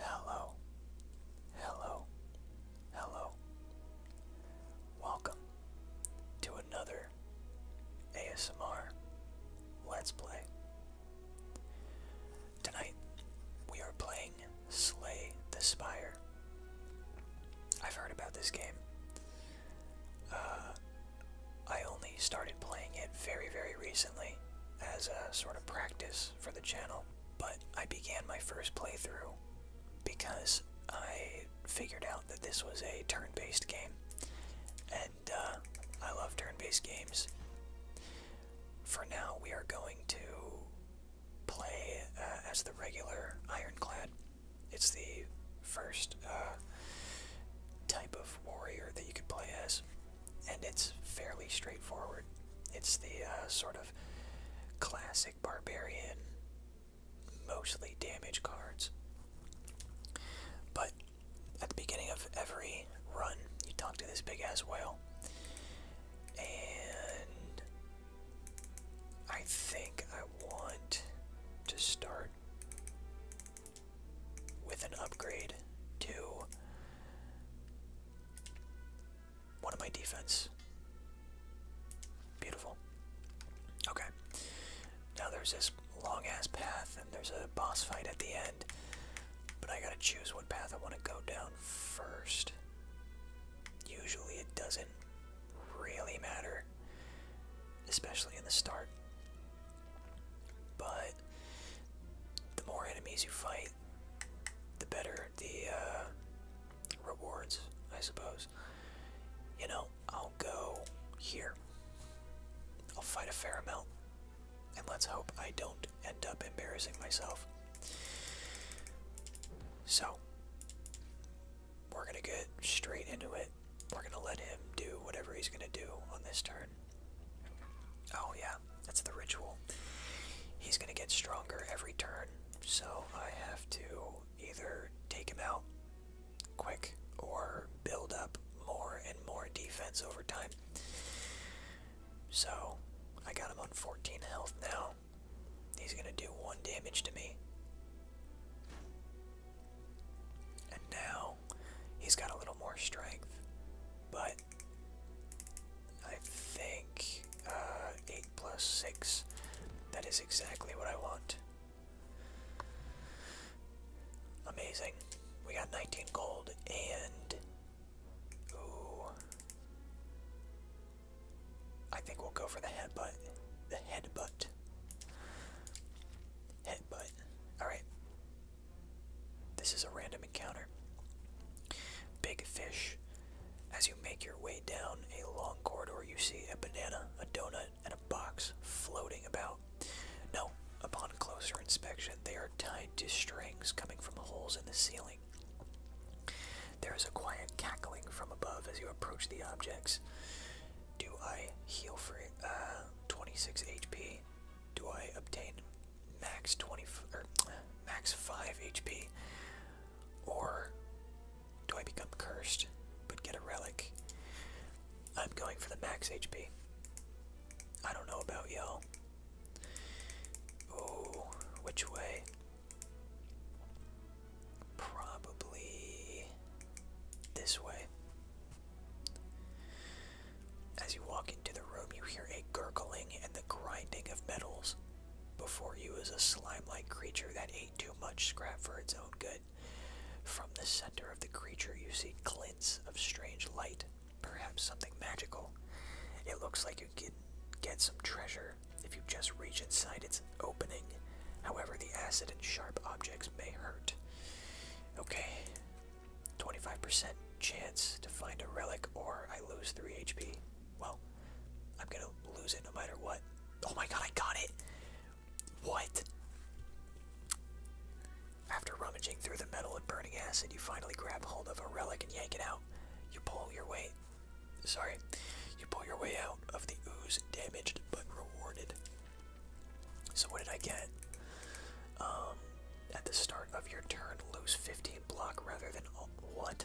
Hello, hello, hello. Welcome to another ASMR Let's Play. Tonight we are playing Slay the Spire. I've heard about this game. Uh, I only started playing it very, very recently as a sort of practice for the channel, but I began my first playthrough because I figured out that this was a turn based game. And uh, I love turn based games. For now, we are going to play uh, as the regular Ironclad. It's the first uh, type of warrior that you could play as and it's fairly straightforward. It's the uh, sort of classic barbarian, mostly damage cards. But at the beginning of every run, you talk to this big ass whale, and I think I want to start with an upgrade to one of my defense. Beautiful. Okay. Now there's this long ass path, and there's a boss fight at the end. But I gotta choose what path I want to go down first. Usually it doesn't really matter, especially in the start. But the more enemies you fight, the better the uh, rewards, I suppose. You know, I'll go here. I'll fight a fair amount. And let's hope I don't end up embarrassing myself. So, we're going to get straight into it. We're going to let him do whatever he's going to do on this turn. Oh, yeah, that's the ritual. He's gonna get stronger every turn, so I have to either take him out quick or build up more and more defense over time. So, I got him on 14 health now. He's gonna do one damage to me. And now he's got a little more strength, but I think uh, 8 plus 6, that is exactly what I want. Amazing. We got 19 gold and. I think we'll go for the headbutt. The headbutt. Headbutt. Alright. This is a random encounter. Big fish. As you make your way down a long corridor, you see a banana, a donut, and a box floating about. No, upon closer inspection, they are tied to strings coming from holes in the ceiling. There is a quiet cackling from above as you approach the objects. Do I heal for uh, 26 HP? Do I obtain max 20 or max 5 HP, or do I become cursed but get a relic? I'm going for the max HP. I don't know about y'all. Oh, which way? Probably this way. As you walk into the room, you hear a gurgling and the grinding of metals. Before you is a slime like creature that ate too much scrap for its own good. From the center of the creature, you see glints of strange light, perhaps something magical. It looks like you can get some treasure if you just reach inside its opening. However, the acid and sharp objects may hurt. Okay, 25% chance to find a relic or I lose 3 HP. Well, I'm gonna lose it no matter what. Oh my god, I got it! What? After rummaging through the metal and burning acid, you finally grab hold of a relic and yank it out. You pull your way. Sorry. You pull your way out of the ooze, damaged but rewarded. So, what did I get? Um, at the start of your turn lose 15 block rather than all, what?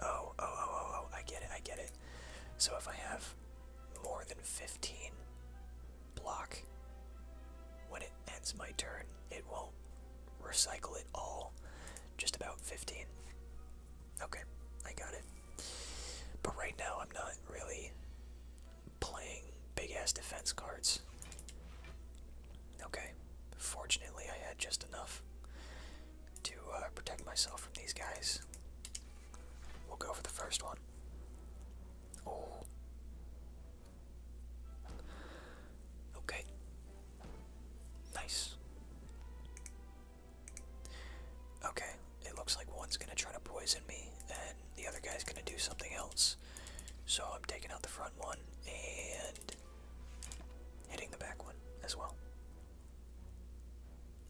Oh, oh, oh, oh, oh, I get it, I get it. So if I have more than 15 block, when it ends my turn, it won't recycle it all, just about 15. Okay, I got it. But right now, I'm not really playing big ass defense cards. Okay, fortunately, I had just enough to uh, protect myself from these guys. We'll go for the first one. Oh. Okay. Nice. Okay, it looks like one's gonna try to poison me, and the other guy's gonna do something else. So I'm taking out the front one and hitting the back one as well.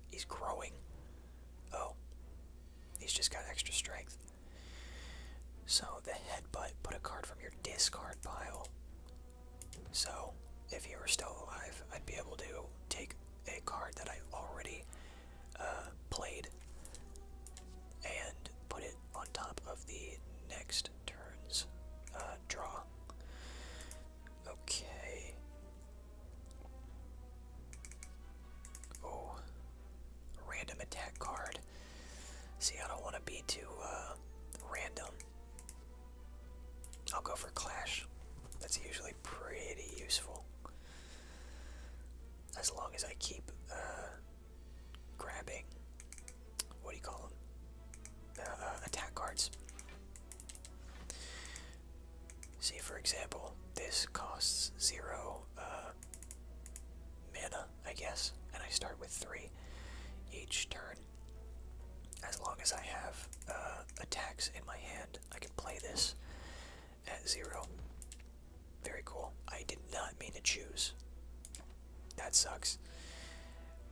He's growing. Oh, he's just got extra strength. So the headbutt put a card from your discard pile. So if he were still alive, I'd be able to take a card that I already uh, played and put it on top of the next turn's uh, draw. Okay. Oh, random attack card. See, I don't want to be too uh, random. I'll go for Clash. That's usually pretty useful. As long as I keep uh, grabbing, what do you call them? Uh, uh, attack cards. See, for example, this costs zero uh, mana, I guess, and I start with three each turn. As long as I have uh, attacks in my hand, I can play this at zero. Very cool. I did not mean to choose. That sucks.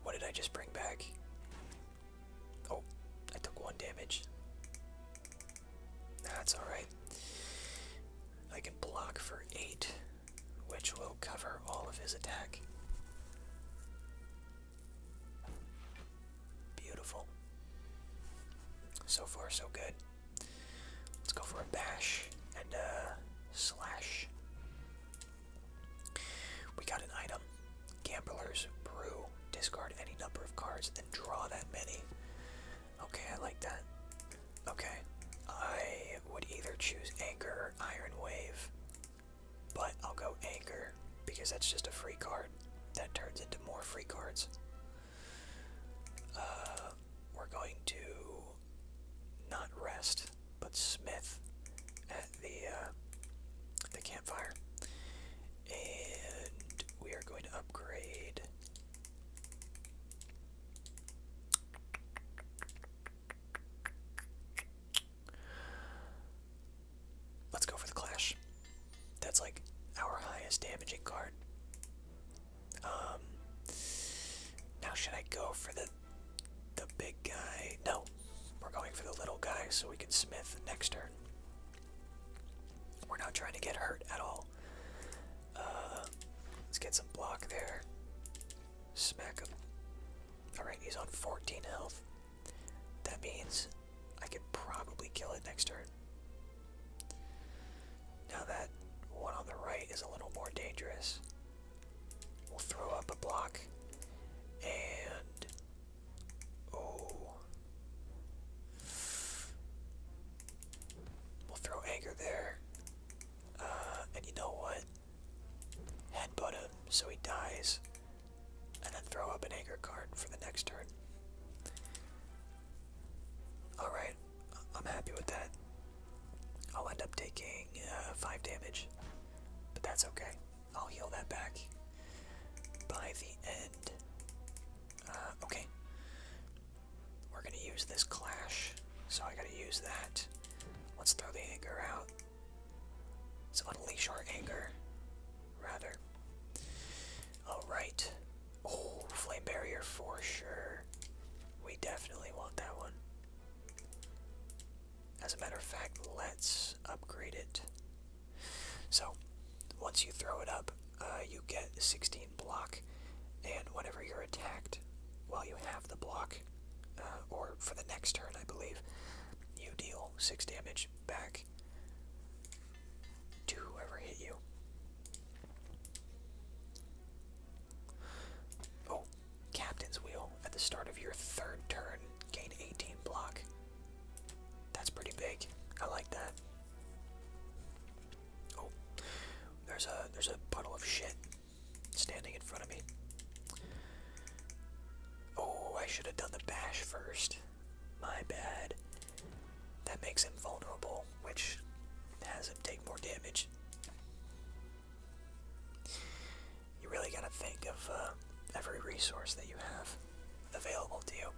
What did I just bring back? Oh, I took one damage. That's alright. I can block for eight, which will cover all of his attack. Beautiful. So far, so good. Let's go for a bash and a slash. We got an item. Gamblers brew. Discard any number of cards and draw that many. Okay, I like that. Okay. I would either choose Anchor or Iron Wave, but I'll go Anchor because that's just a free card that turns into more free cards. Uh, we're going to not rest, but Smith at the uh, the campfire, and we are going to upgrade. Let's go for the Clash. That's like our highest damaging card. Um, now should I go for the the big guy? No, we're going for the little guy so we can smith next turn. We're not trying to get hurt at all. Uh, let's get some block there. Smack him. All right, he's on 14 health. That means I could probably kill it next turn. Now that one on the right is a little more dangerous. We'll throw up a block. And... Oh. We'll throw anger there. Uh, and you know what? Headbutt him so he dies and then throw up an anger card for the next turn. Alright, I'm happy with that. I'll end up taking uh, 5 damage, but that's okay. I'll heal that back by the end. Uh, okay. We're gonna use this clash, so I gotta use that. Let's throw the anger out. So unleash our anger rather. Alright. Oh, flame barrier for sure. We definitely want that one. As a matter of fact, let's upgrade it. So, once you throw it up, uh, you get 16 block, and whenever you're attacked while you have the block, uh, or for the next turn, I believe, you deal 6 damage back attack whoever hit you. Oh, Captain's Wheel. At the start of your third turn, gain 18 block. That's pretty big. I like that. Oh, there's a there's a puddle of shit standing in front of me. Oh, I should have done the bash first. My bad. That makes him vulnerable, which has him take more damage. You really gotta think of uh, every resource that you have available to you.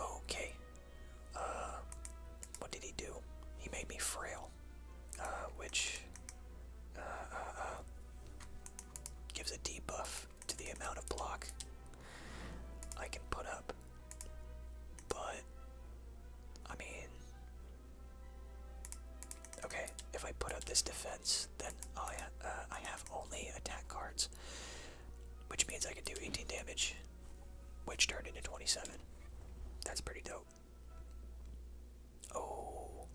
Okay. Uh, what did he do? He made me frail, uh, which uh, uh, uh gives a debuff to the amount of block I can put up. But, I mean, okay, if I put up this defense, then I, uh, I have only attack cards, which means I can do 18 damage, which turned into 27. That's pretty dope. Oh,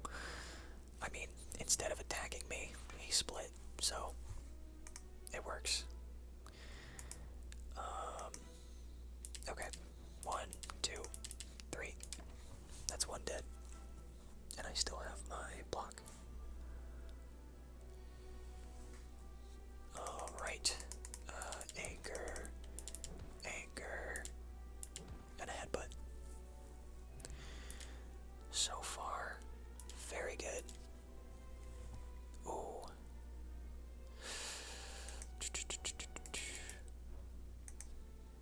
I mean, instead of attacking me, he split, so it works. Um, okay, one, two, three. That's one dead. And I still have my block. Alright. Uh, anchor. Anchor. And a headbutt. So far, very good. Ooh.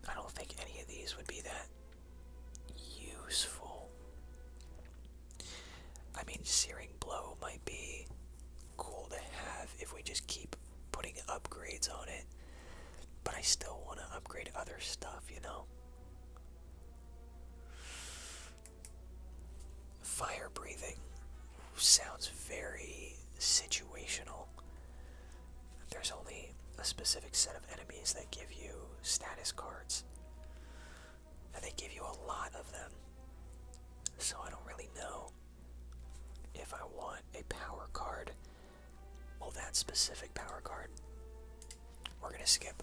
I don't think any of these would be that useful. I mean, Searing Blow might be cool to have if we just keep putting upgrades on it, but I still want to upgrade other stuff, you know? Fire breathing sounds very situational. There's only a specific set of enemies that give you status cards, and they give you a lot of them. So I don't really know if I want a power card. Well, that specific power card. We're gonna skip.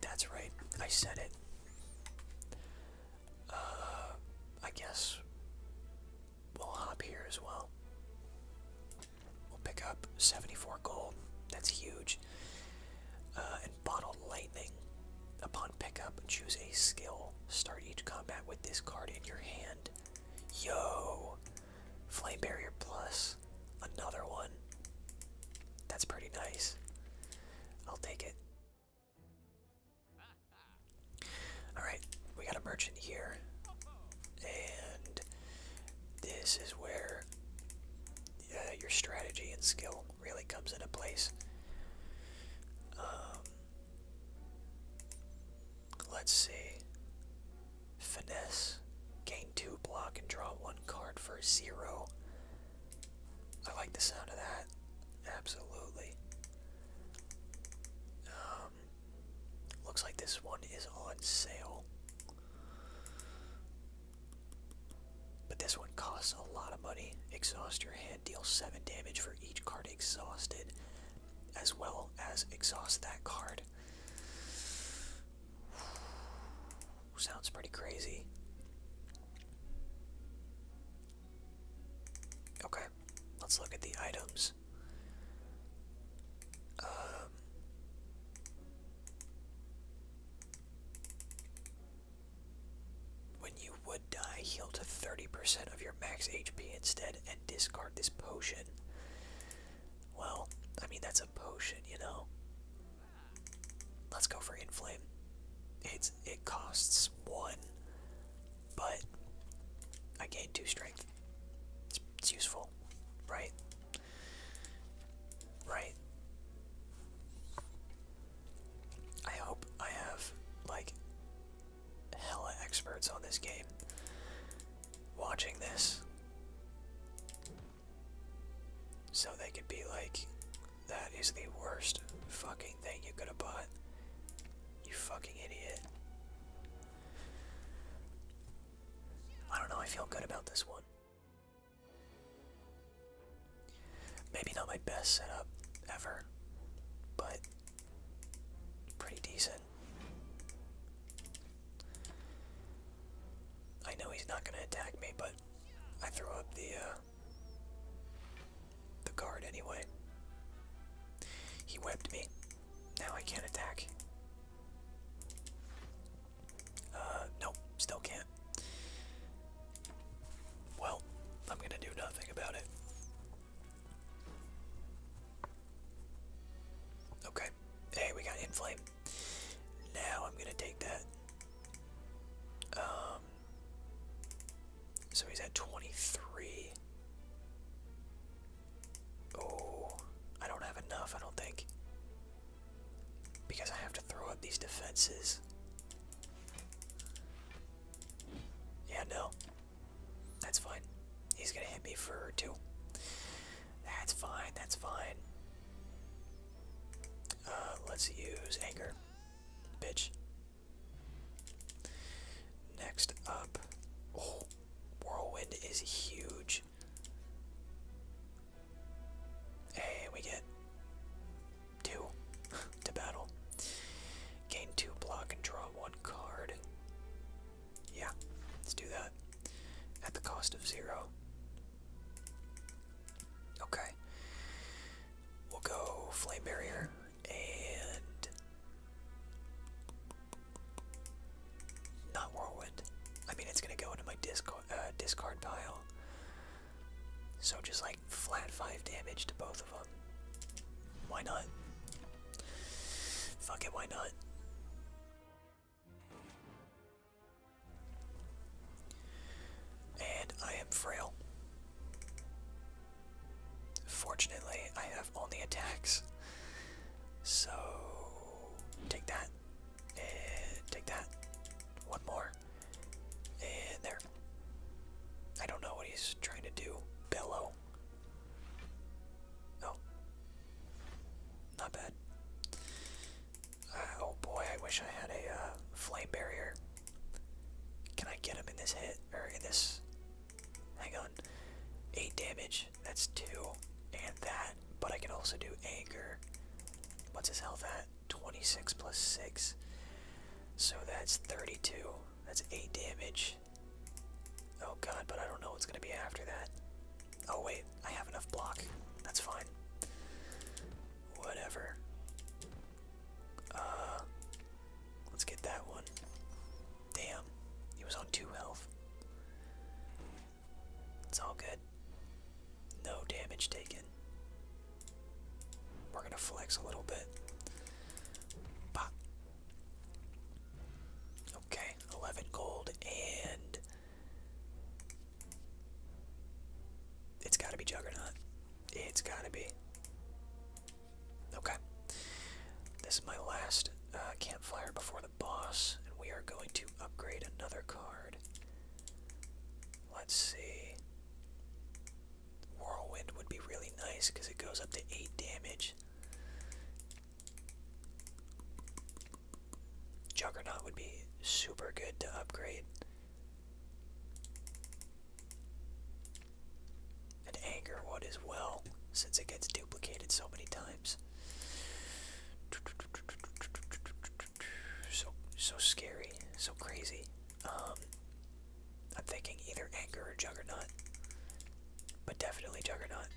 That's right, I said it. Uh, I guess we'll hop here as well. We'll pick up 74 gold. That's huge. Uh, and bottled lightning. Upon pickup, choose a skill. Start each combat with this card in your hand. Yo, Flame Barrier Plus. Another one. That's pretty nice. I'll take it. Alright, we got a merchant here. And this is where uh, your strategy and skill really comes into place. Um, let's see. Finesse. Gain two block and draw one card for zero. I like the sound of that. Absolutely. Um, looks like this one is on sale. But this one costs a lot of money. Exhaust your hand, deal 7 damage for each card exhausted, as well as exhaust that card. Sounds pretty crazy. Okay, let's look at the items. Um, when you would die, heal to 30% of your max HP instead and discard this potion. Well, I mean, that's a potion, you know? Let's go for Inflame. It's, it costs one, but I gain two strength. It's, it's useful, right? Right. I hope I have, like, hella experts on this game watching this. So they could be like, that is the worst fucking thing you could have bought. You fucking idiot. I don't know, I feel good about this one. Maybe not my best setup ever, but pretty decent. I know he's not going to attack me, but I throw up the uh, the guard anyway. He webbed me. Now I can't attack. Uh, nope, still can't. Well, I'm gonna do nothing about it. Okay. Hey, we got inflame. Now I'm gonna take that. Um, so he's at 23. Oh, I don't have enough, I don't think. Because I have to throw up these defenses. Yeah, no. That's fine. He's gonna hit me for two. That's fine, that's fine. Uh, let's use anger. Bitch. Next up. Oh, whirlwind is huge. Hey, we get two to battle. Gain two block and draw one card. Yeah, let's do that. At the cost of zero. Okay. We'll go Flame Barrier and. Not Whirlwind. I mean, it's gonna go into my discard, uh, discard pile. So just like flat 5 damage to both of them. Why not? Fuck it, why not? And I am frail. Fortunately, I have only attacks. So, take that. And take that. One more. And there. I don't know what he's trying to do. Bellow. Oh. Not bad oh boy, I wish I had a uh, flame barrier. Can I get him in this hit? Or in this. Hang on. 8 damage. That's 2. And that. But I can also do anger. What's his health at? 26 plus 6. So that's 32. That's 8 damage. Oh god, but I don't know what's going to be after that. Oh wait, I have enough block. That's fine. Whatever. Uh, let's get that one. Damn, he was on two health. It's all good. No damage taken. We're gonna flex a little bit. Pop. Okay, 11 gold and it's gotta be Juggernaut. It's gotta be. Okay. This is my last uh, campfire before the boss, and we are going to upgrade another card. Let's see. Whirlwind would be really nice because it goes up to 8 damage. Juggernaut would be super good to upgrade. And anger, what is well, since it gets duplicated so many times. So so scary, so crazy. Um, I'm thinking either Anger or Juggernaut, but definitely Juggernaut.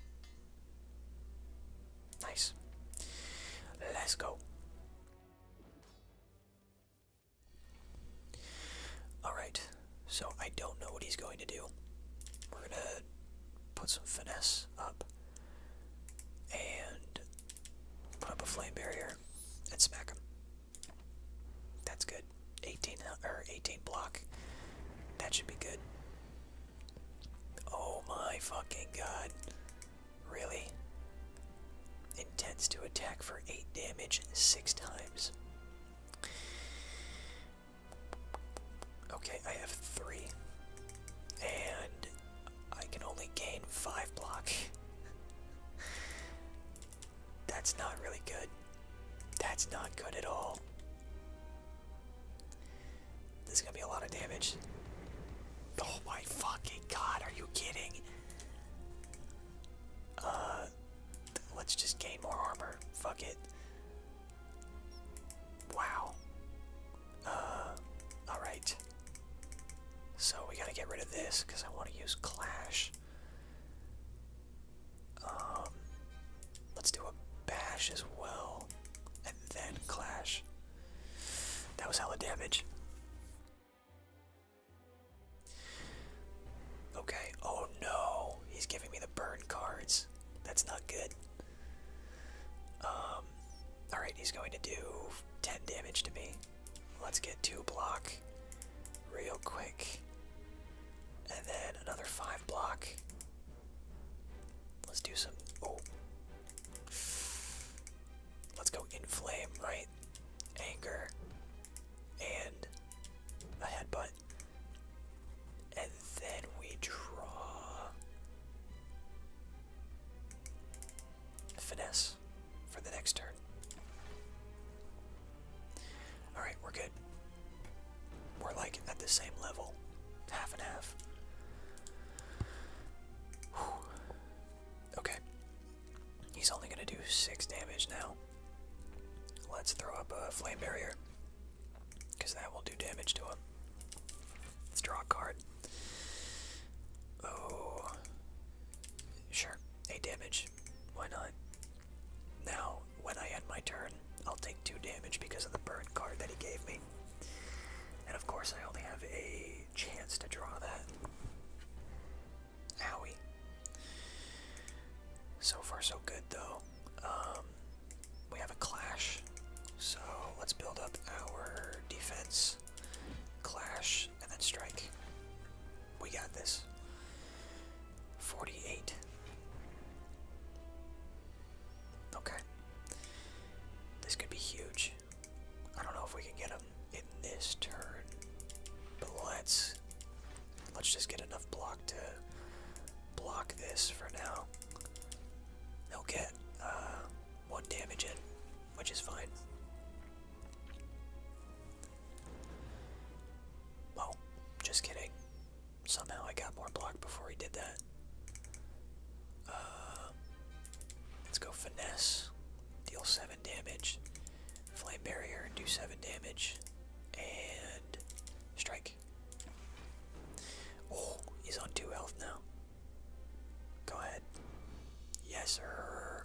Nice. Let's go. Alright, so I don't know what he's going to do. We're going to put some finesse up and put up a flame barrier and smack him. That's good. 18 or 18 block. That should be good. Oh my fucking god. Really? Intends to attack for 8 damage 6 times. Okay, I have 3. And I can only gain 5 block. That's not really good. That's not good at all. This is gonna be a lot of damage. Oh my fucking god, are you kidding? Uh, let's just gain more armor. Fuck it. Wow. Uh, alright. So we gotta get rid of this because I want to use Clash. Um, let's do a Bash as well, and then Clash. That was hella damage. Okay, oh no, he's giving me the burn cards. That's not good. Um, Alright, he's going to do 10 damage to me. Let's get two block real quick. And then another 5 block. Let's do some. Oh. Let's go inflame, right? Anger and a headbutt. And then we draw finesse for the next turn. Alright, we're good. We're like at the same level. Half and half. Okay. He's only going to do 6 damage now. Let's throw up a flame barrier. Because that will do damage to him. Let's draw a card. Oh. Sure. 8 damage. Why not? Now, when I end my turn, I'll take 2 damage because of the burn card that he gave me. And of course, I only have a chance to draw that. Owie. So far, so good, though. Um, we have a clash, so let's build up our defense. Clash and then strike. We got this. 48. Okay. This could be huge. I don't know if we can get him in this turn, but let's let's just get enough block to block this for now. He'll get uh, one damage in, which is fine. Well, just kidding. Somehow I got more block before he did that. Uh, Let's go finesse. Deal 7 damage. Flame barrier, do 7 damage. And strike. Oh, he's on 2 health now. Go ahead. Yes, sir.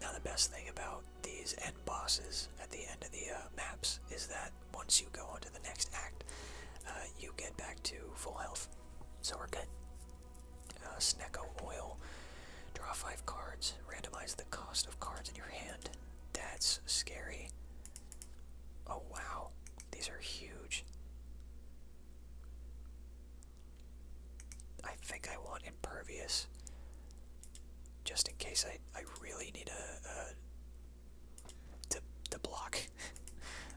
Now, the best thing about these end bosses at the end of the uh, maps is that once you go on to the next act, uh, you get back to full health. So we're good. Uh, Sneko Oil. Draw five cards. Randomize the cost of cards in your hand. That's scary. Oh wow, these are huge. I think I want Impervious. Just in case I, I really need a to, to block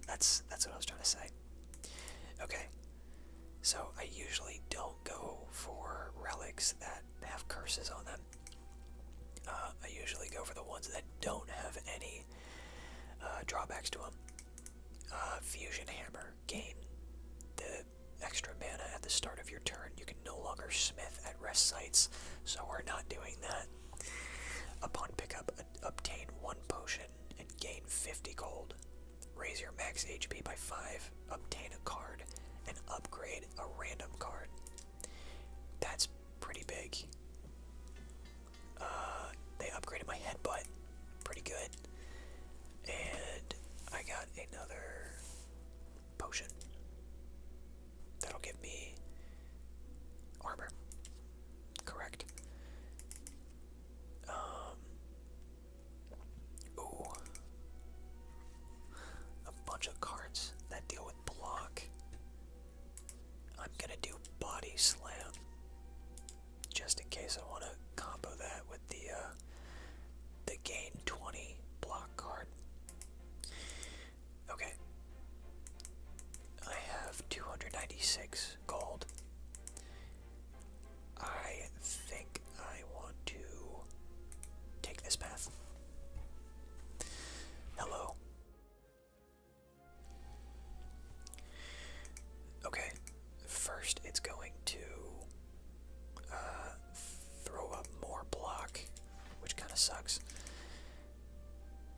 that's that's what I was trying to say. Okay. So I usually don't go for relics that have curses on them. Uh, I usually go for the ones that don't have any uh, drawbacks to them. Uh, fusion Hammer. Gain the extra mana at the start of your turn. You can no longer smith at rest sites, so we're not doing that. Upon pickup, obtain one potion and gain 50 gold. Raise your max HP by 5, obtain a card, and upgrade a random card. That's pretty big. Uh, they upgraded my headbutt. Pretty good. And I got another potion. That'll give me armor. Correct. Um. Ooh. A bunch of cards that deal with block. I'm gonna do body slam. Just in case I wanna combo that with the uh, the gain 20 block card. Okay. I have 296 gold. I think I want to take this path. Hello. Okay, first it's going to uh, throw up more block, which kind of sucks.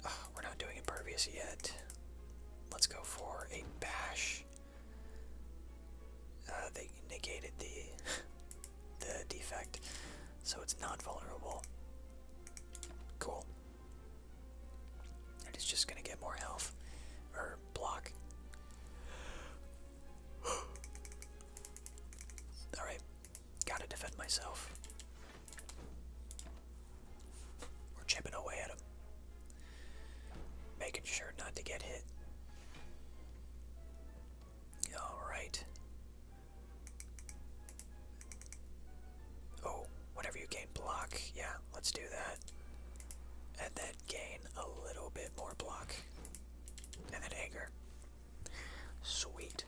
Ah, we're not doing impervious yet. Let's go for a bash. Uh, they negated the the defect, so it's not vulnerable. Cool. And it's just gonna get more health or block. All right, gotta defend myself. We're chipping away at him. Making sure not to get hit. Alright. Oh, whenever you gain block, yeah, let's do that. And then gain a little bit more block. And then anger. Sweet.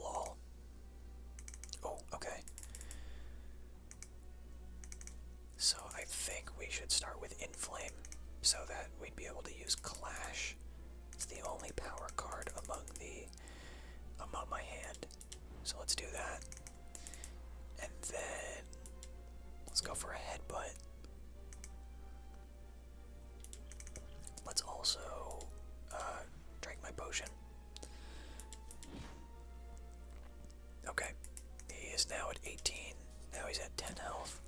Lol. Oh, okay. So I think we should start with Inflame so that we'd be able to use Clash. It's the only power card among the among my hand. So let's do that. And then let's go for a headbutt. Let's also uh, drink my potion. Okay, he is now at 18. Now he's at 10 health.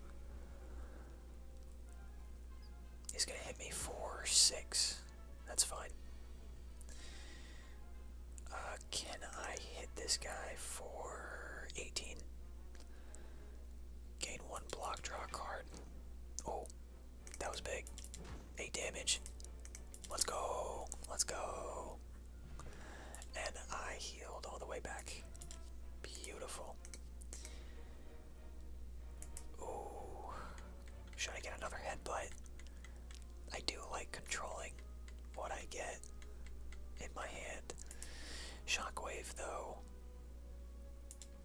He's gonna hit me for 6. That's fine. Uh, can I hit this guy for 18? Gain one block, draw a card. Oh, that was big. Eight damage. Let's go. Let's go. And I healed all the way back. Beautiful. Ooh. Should I get another headbutt? I do like controlling what I get in my hand. Shockwave, though,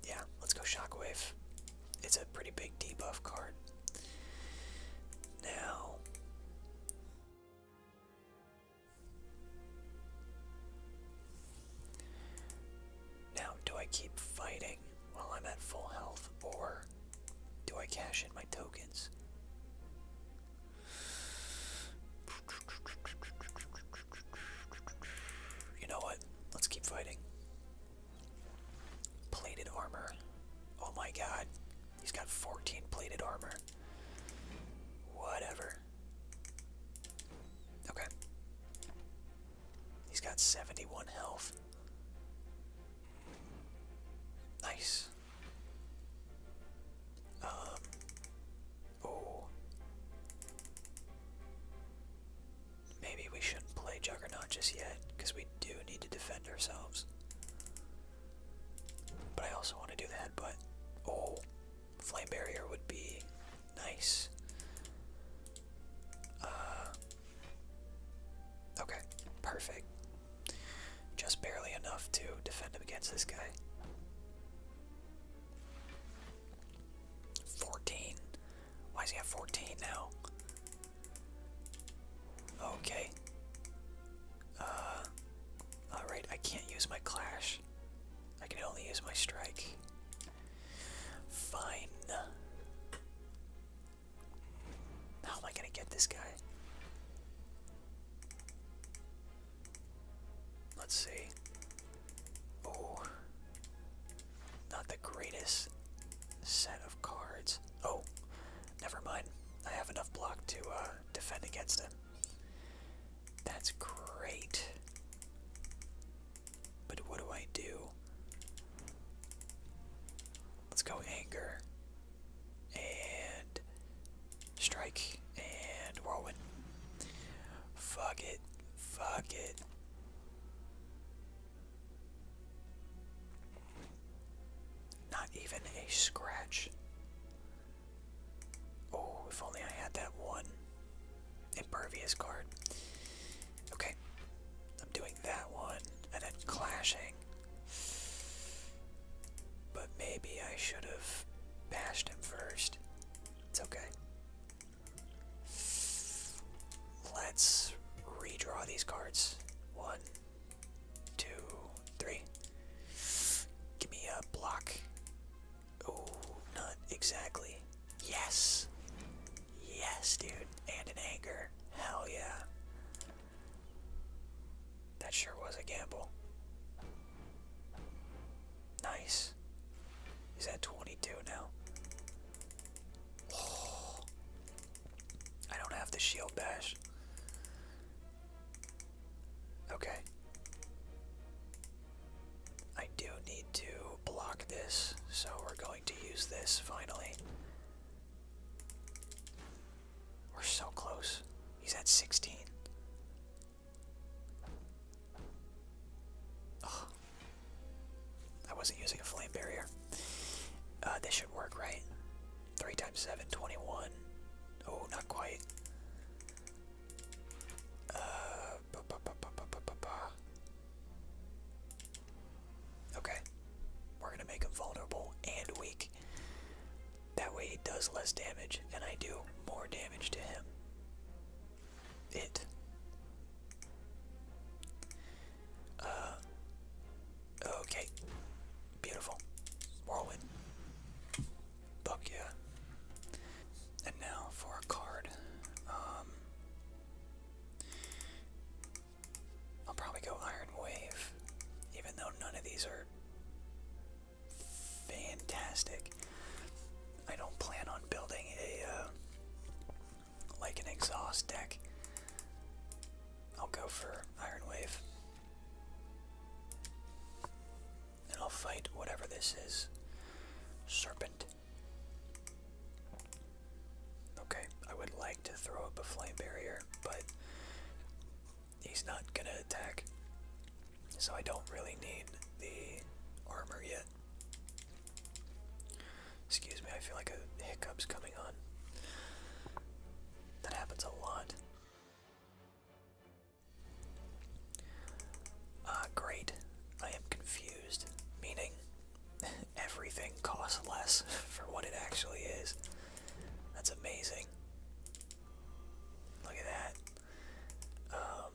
yeah, let's go Shockwave. It's a pretty big debuff card. Now. Now, do I keep fighting while I'm at full health, or do I cash in my tokens? You know what? Let's keep fighting. Plated armor. Oh my god. He's got 14 plated armor. Whatever. Okay. He's got 71 health. Nice. Um Oh. Maybe we shouldn't play Juggernaut just yet, because we do need to defend ourselves. But I also want to do that, but oh, Flame Barrier would be nice. Uh, okay, perfect. Just barely enough to defend him against this guy. 14. Why is he at 14 now? Okay. Uh, alright, I can't use my clash. I can only use my strike. Fine. How am I gonna get this guy? Let's see. Oh, not the greatest set of cards. Oh, never mind. I have enough block to uh, defend against him. That's great. But what do I do? Let's go anger and strike and whirlwind. Fuck it. Fuck it. Not even a scratch. Oh, if only I had that one impervious card. Okay, I'm doing that one and it's clashing. But maybe I should have bashed him first. It's okay. Let's redraw these cards. One, two, three. Give me a block. Oh, not exactly. Yes. Yes, dude. And an anger. Hell yeah. That sure was a gamble. Nice. He's at 22 now. Oh. I don't have the shield bash. Okay. I do need to block this, so we're going to use this finally. We're so close. He's at 16. Oh, I wasn't using a flame barrier. Uh, this should work, right? 3 times 7, Oh, not quite. Uh, okay. We're going to make him vulnerable and weak. That way he does less damage, and I do more damage to him it. Uh, okay. Beautiful. Whirlwind. Fuck And now for a card. Um, I'll probably go Iron Wave, even though none of these are fantastic. I don't plan on building a uh, like an exhaust deck. I'll go for Iron Wave. And I'll fight whatever this is. Serpent. Okay, I would like to throw up a flame barrier, but he's not gonna attack. So I don't really need the armor yet. Excuse me, I feel like a hiccup's coming on. That happens a lot. Ah, great. I am confused. Meaning, everything costs less for what it actually is. That's amazing. Look at that. Um,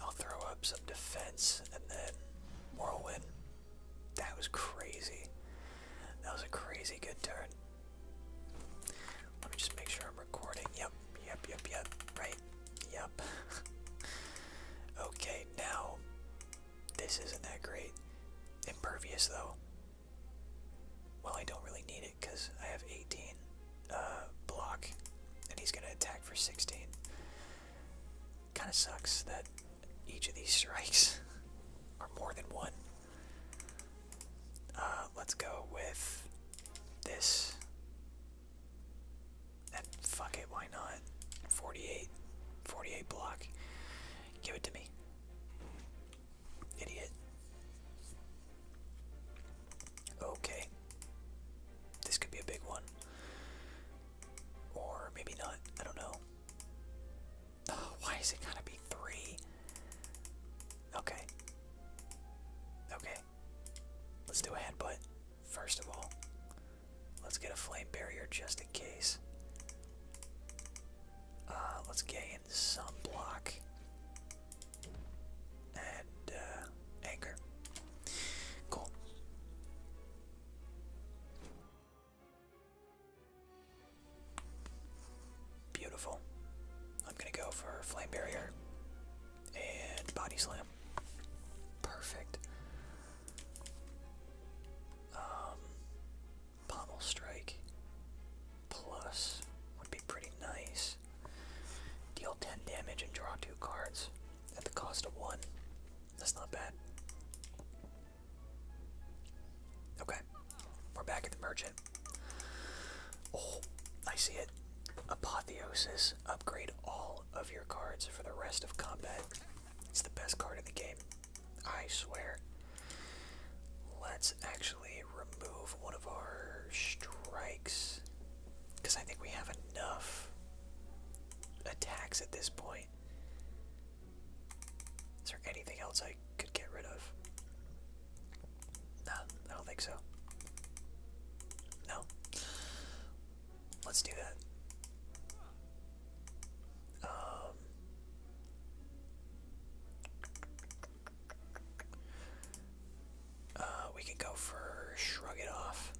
I'll throw up some defense and then whirlwind. That was crazy. That was a crazy good turn. Let me just make sure I'm recording. Yep, yep, yep, yep. Right? Yep. okay, now this isn't that great. Impervious though. Well, I don't really need because I have 18 uh, block, and he's going to attack for 16. Kind of sucks that each of these strikes are more than one. Uh, let's go with this. fuck it, why not? 48. 48 block. Give it to me. Idiot. Okay. This could be a big one. Or maybe not. I don't know. Oh, why is it gotta be three? Okay. Okay. Let's do a headbutt. First of all, let's get a flame barrier just in case. Uh, let's get in some block and uh, Anchor. Cool. Beautiful. I'm gonna go for Flame Barrier and Body Slam. Perfect. Um, Pommel Strike plus would be pretty nice. Deal 10 damage and draw 2 cards at the cost of 1. That's not bad. Okay, we're back at the merchant. Oh, I see it. Apotheosis. Upgrade all of your cards for the rest of combat. It's the best card in the game. I swear. Let's actually remove one of our strikes. Because I think we have enough attacks at this point. Is there anything else I could get rid of? No, I don't think so. No. Let's do that. Um. Uh, we can go for shrug it off.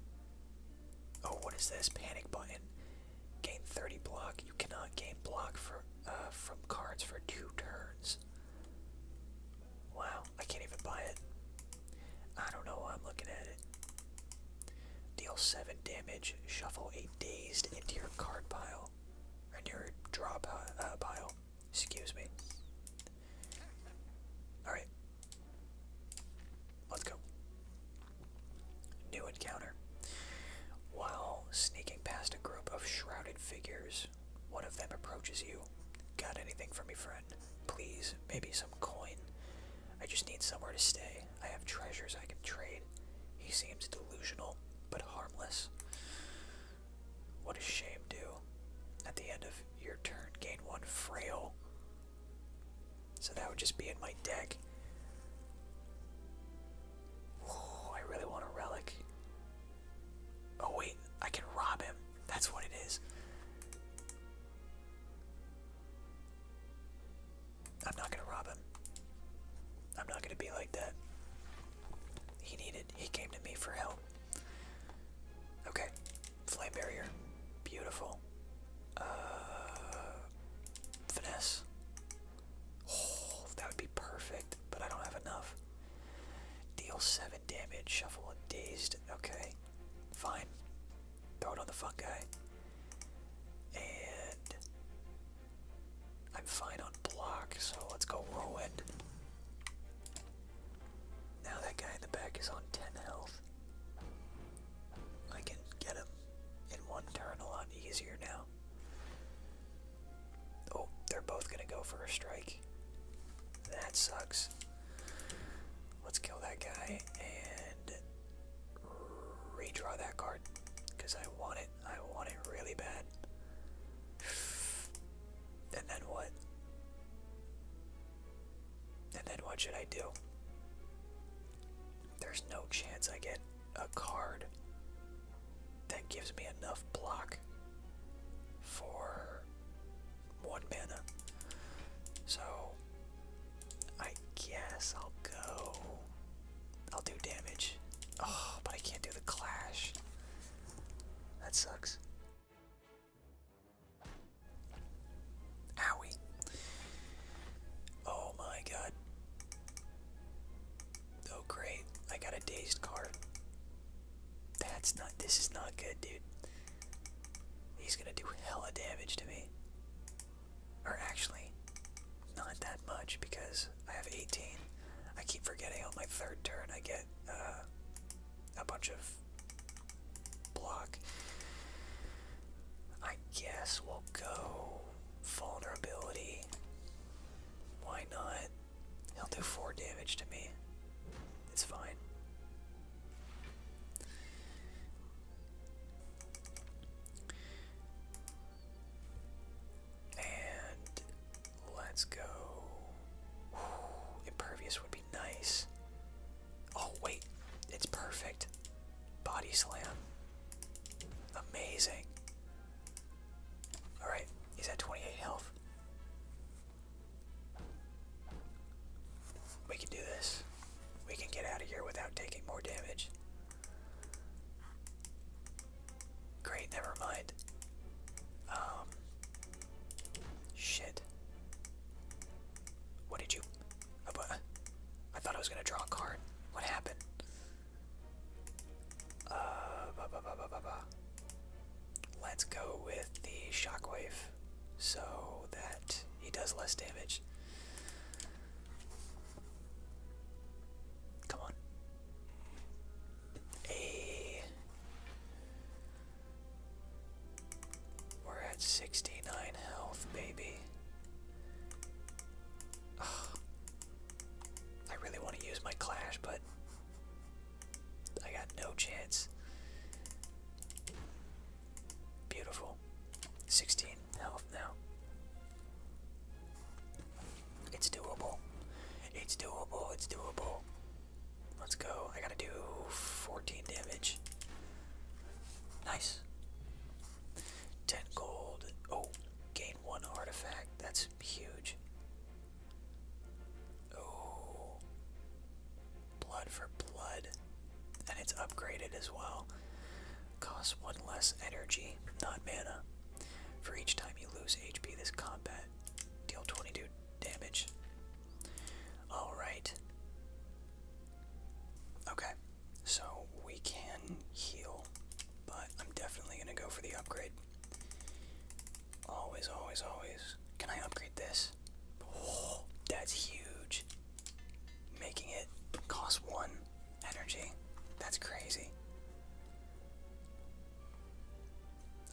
Oh, what is this? Panic button. Gain 30 block. You cannot gain block for, uh, from cards for two turns. Wow, I can't even buy it. I don't know why I'm looking at it. Deal 7 damage. Shuffle a dazed into your card pile. Or into your draw uh, pile. Excuse me. Alright. Let's go. New encounter. While sneaking past a group of shrouded figures, one of them approaches you. Got anything for me, friend? Please, maybe some coin. I just need somewhere to stay. I have treasures I can trade. He seems delusional, but harmless. What does shame do? At the end of your turn, gain one frail. So that would just be in my deck. Oh, I really want a relic. Oh wait, I can rob him. That's what it is. I'm not gonna rob him. I'm not gonna be like that. He needed, he came to me for help. Okay, Flame Barrier. Beautiful. Uh, finesse. Oh, that would be perfect, but I don't have enough. Deal 7 damage, shuffle and dazed. Okay, fine. Throw it on the fun guy. And I'm fine on block, so let's go Whirlwind. Now that guy in the back is on 10 health. I can get him in one turn a lot easier now. Oh, they're both gonna go for a strike. That sucks. Let's kill that guy and redraw that card because I want it. I want it really bad. And then what? And then what should I do? There's no chance I get a card that gives me enough block for one mana. So I guess I'll go. I'll do damage. Oh, but I can't do the clash. That sucks. Owie. Oh my god. Oh great. I got a dazed card. That's not this is not good, dude. He's gonna do hella damage to me. Or actually, not that much because I have 18. I keep forgetting on my third turn I get uh, a bunch of block. I guess we'll go vulnerability. Why not? He'll do four damage to me. It's fine. And let's go. impervious would be nice. Oh, wait. It's perfect. Body slam. Amazing. Alright, he's at 28 health. We can do this. We can get out of here without taking more damage. Great, never mind. Um, Shit. What did you... I thought I was gonna draw a card. What happened? Uh, Let's go with the shockwave so that he does less damage. Come on. A we're at 69 health, baby. I really want to use my clash, but I got no chance. Beautiful. 16 health now. It's doable. It's doable. It's doable. Let's go. I gotta do 14 damage. Nice. 10 gold. Oh, gain one artifact. That's huge. Oh. Blood for blood. And it's upgraded as well. Costs one less energy, not mana. For each time you lose HP this combat, deal 22 damage. Alright. Okay, so we can heal, but I'm definitely gonna go for the upgrade. Always, always, always. Can I upgrade this? Oh, that's huge. Making it cost one energy. That's crazy.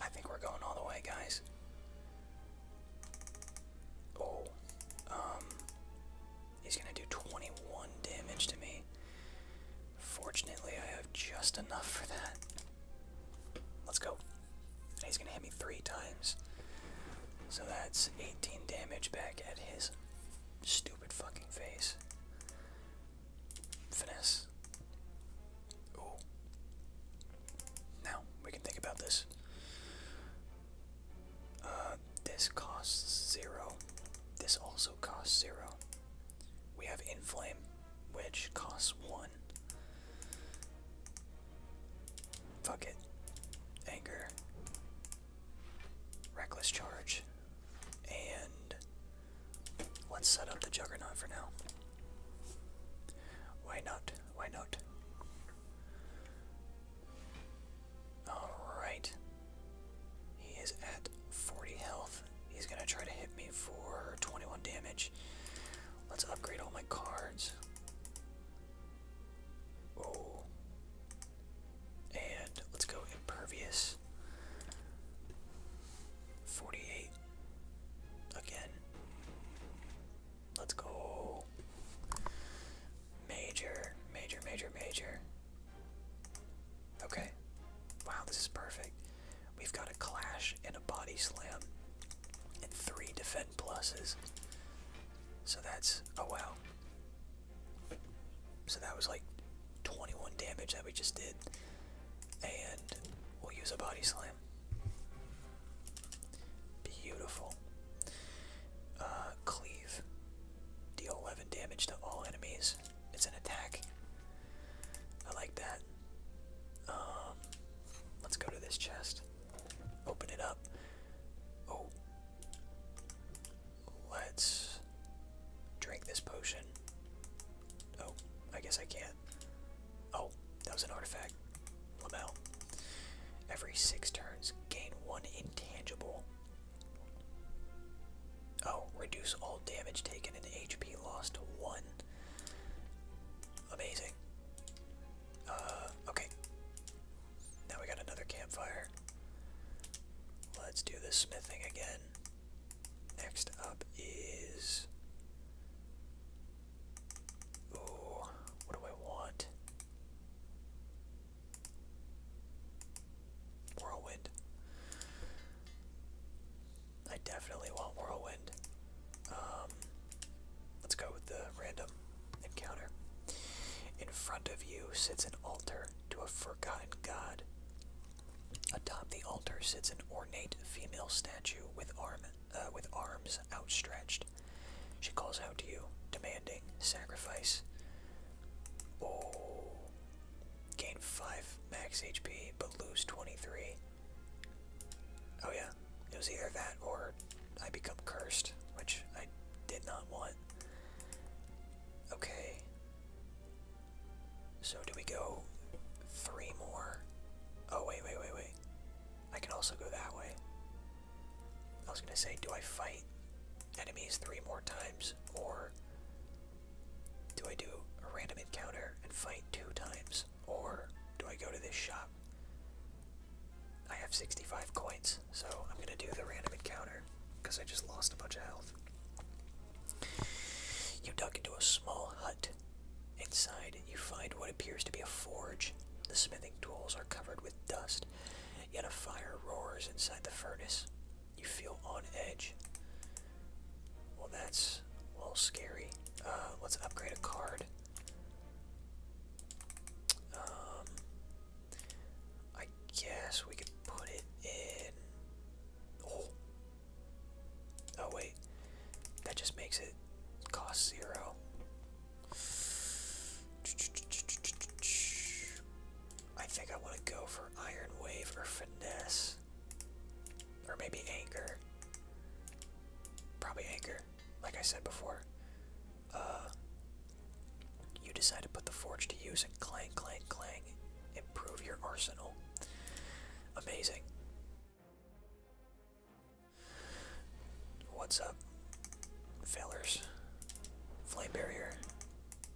I think we're going all the way, guys. Oh. Um, he's gonna do 21 damage to me. Fortunately, I have just enough for that. Let's go. He's gonna hit me three times. So that's 18 damage back at his stupid fucking face. Finesse. Ooh. Now we can think about this. Uh, this costs zero. This also costs zero. We have Inflame, which costs one. Fuck it. Anger. Reckless Charge. And let's set up the Juggernaut for now. Why not? Why not? Alright. He is at 40 health. He's going to try to hit me for 21 damage. Let's upgrade all my cards. Oh. And let's go impervious. 48. Again. Let's go. Major, major, major, major. Okay. Wow, this is perfect. We've got a clash and a body slam and three defend pluses. So that's, oh wow. So that was like 21 damage that we just did. And we'll use a body slam. Beautiful. Uh, cleave. Deal 11 damage to all enemies. It's an attack. I like that. Um, let's go to this chest. Open it up. Oh. Let's drink this potion. Oh, I guess I can't. Oh, that was an artifact. Lamel. Every six turns, gain one intangible. Oh, reduce all damage taken and HP lost to one. Amazing. Uh, okay. Now we got another campfire. Let's do the smithing again. Next up is Ooh, what do I want? Whirlwind. I definitely want Whirlwind. Um, let's go with the random encounter. In front of you sits an altar to a forgotten god. Atop the altar sits an ornate female statue with arm uh, with arms outstretched. She calls out to you, demanding sacrifice. Oh. Gain 5 max HP, but lose 23. Oh, yeah. It was either that or I become cursed, which I did not want. Okay. So, do we go three more? Oh, wait, wait, wait, wait. I can also go that way. I was gonna say, do I fight enemies three more times, or do I do a random encounter and fight two times, or do I go to this shop? I have 65 coins, so I'm gonna do the random encounter because I just lost a bunch of health. You duck into a small hut. Inside you find what appears to be a forge. The smithing tools are covered with dust, yet a fire roars inside the furnace. You feel on edge. Well, that's a little scary. Uh, let's upgrade a card. Um, I guess we could put it in. Oh. Oh wait, that just makes it cost zero. I think I want to go for Iron Wave or Finesse. Or maybe Anchor. Probably Anchor, like I said before. Uh, you decide to put the Forge to use and clang, clang, clang. Improve your arsenal. Amazing. What's up, fellers? Flame barrier.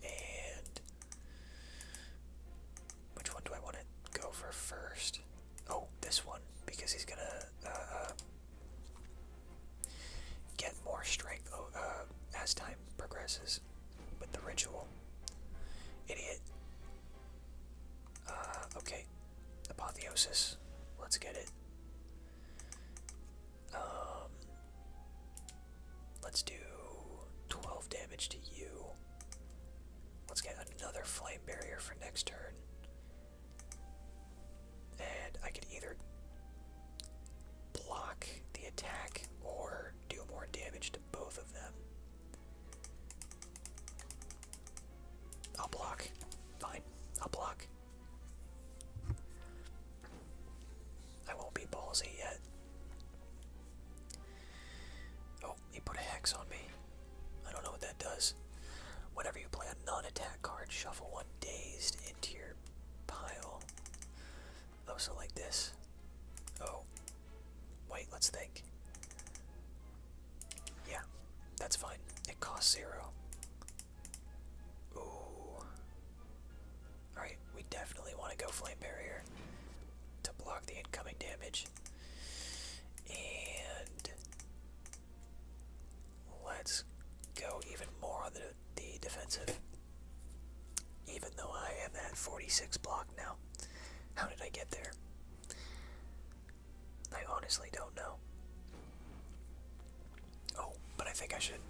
And which one do I want to go for first? Oh, this one, because he's gonna uh, uh, get more strength oh, uh, as time progresses with the ritual. Idiot. okay. Apotheosis. Let's get it. Um, let's do 12 damage to you. Let's get another flame barrier for next turn. And I could either block the attack or do more damage to both of them. I'll block. Fine. I'll block. I won't be ballsy yet. Oh, he put a hex on me. I don't know what that does. Whenever you play a non-attack card, shuffle one dazed into your pile. Oh, so like this. Oh. Wait, let's think. Yeah, that's fine. It costs zero. Ooh. Alright, we definitely want to go Flame Barrier to block the incoming damage. And let's go even more on the, the defensive. Even though I am at 46 block now. How did I get there? I honestly don't know. Oh, but I think I should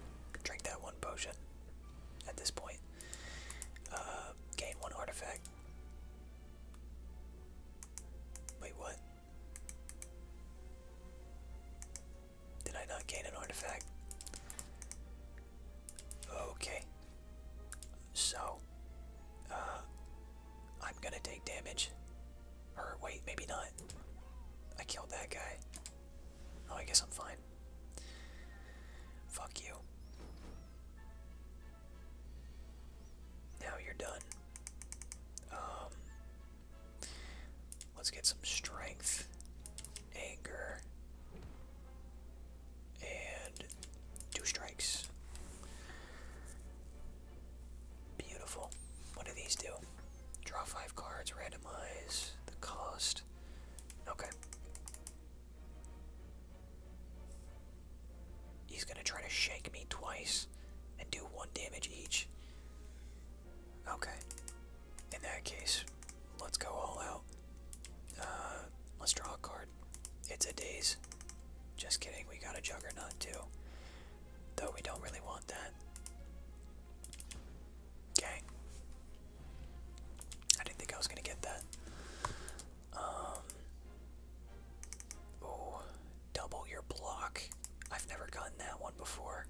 drink that one potion at this point. Uh, gain one artifact. Wait, what? Did I not gain an artifact? Okay. So, uh, I'm gonna take damage. Or wait, maybe not. I killed that guy. Oh, I guess I'm fine. Fuck you. Now you're done. Um, let's get some strength, anger, and two strikes. Beautiful. What do these do? Draw five cards, randomize the cost. Okay. He's gonna try to shake me twice and do one damage each. Okay. In that case, let's go all out. Uh, let's draw a card. It's a daze. Just kidding, we got a juggernaut too. Though we don't really want that. Okay. I didn't think I was gonna get that. Um. Oh, double your block. I've never gotten that one before.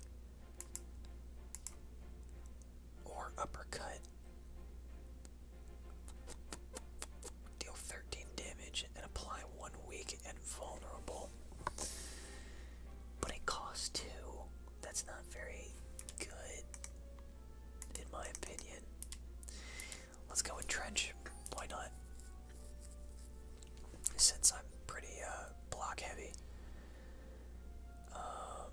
Or uppercut. Deal 13 damage and apply one weak and vulnerable. But it costs two. That's not very good, in my opinion. Let's go with Trench. Why not? Since I'm pretty uh, block heavy. Um,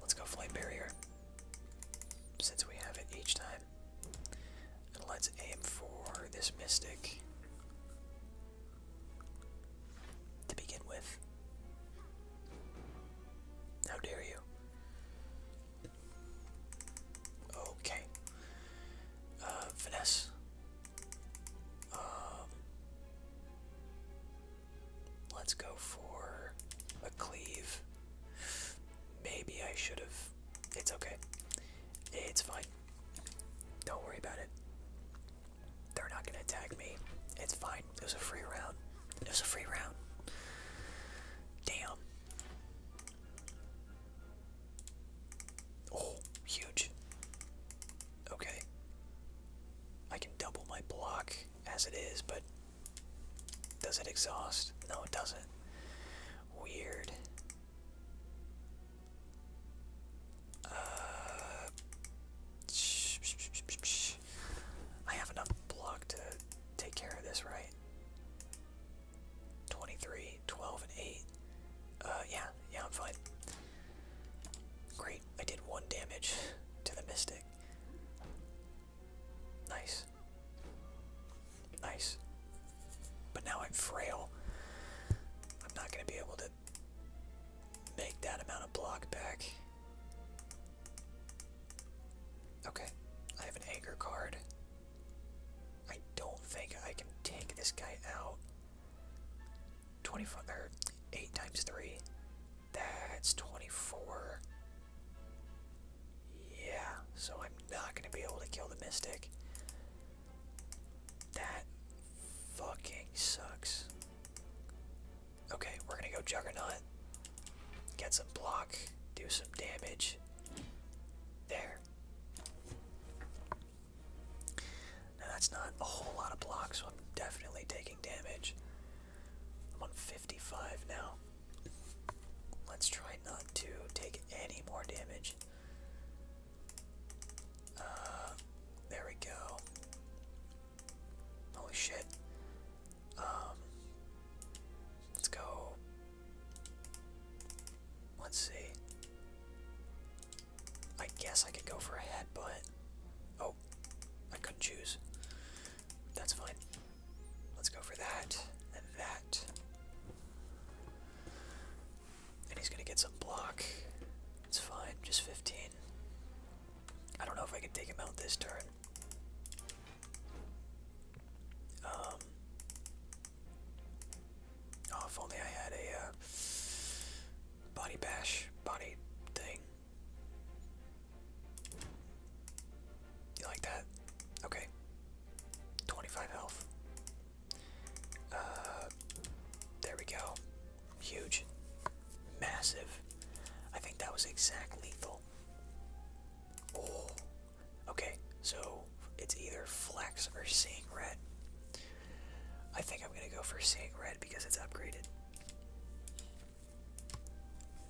let's go Flame Barrier. Since we have it each time. And let's aim for this Mystic to begin with. How dare you? Okay. Uh, um, let's go for a cleave. Maybe I should have. It's okay. It's fine. Don't worry about it. They're not gonna attack me. It's fine. It was a free round. It was a free round. Damn. Oh, huge. Okay. I can double my block as it is, but does it exhaust? No, it doesn't. Weird. Uh, I have enough block to take care of this, right? 23, 12, and 8. Uh, yeah, yeah, I'm fine. Great, I did one damage to the Mystic. Nice. Nice. But now I'm frail. I'm not going to be able make that amount of block back. Okay, I have an anger card. I don't think I can take this guy out. Twenty-four, 8 times 3. That's 24. Yeah, so I'm not going to be able to kill the Mystic. That fucking sucks. Okay, we're gonna go Juggernaut. Get some block, do some damage. There. Now that's not a whole lot of block, so I'm definitely taking damage. I'm on 55 now. Let's try not to take any more damage. Uh, there we go. Holy shit. Um, let's go. Let's see. I guess I could go for a headbutt. Oh, I couldn't choose. That's fine. Let's go for that and that. And he's gonna get some block. It's fine, just 15. I don't know if I can take him out this turn. Um. Oh, if only I had a uh, body bash, body thing. You like that? Okay. 25 health. Uh, there we go. Huge. Massive. I think that was exact lethal. Oh. Okay, so it's either Flex or Seeing Red. I think I'm gonna go for Seeing Red because it's upgraded.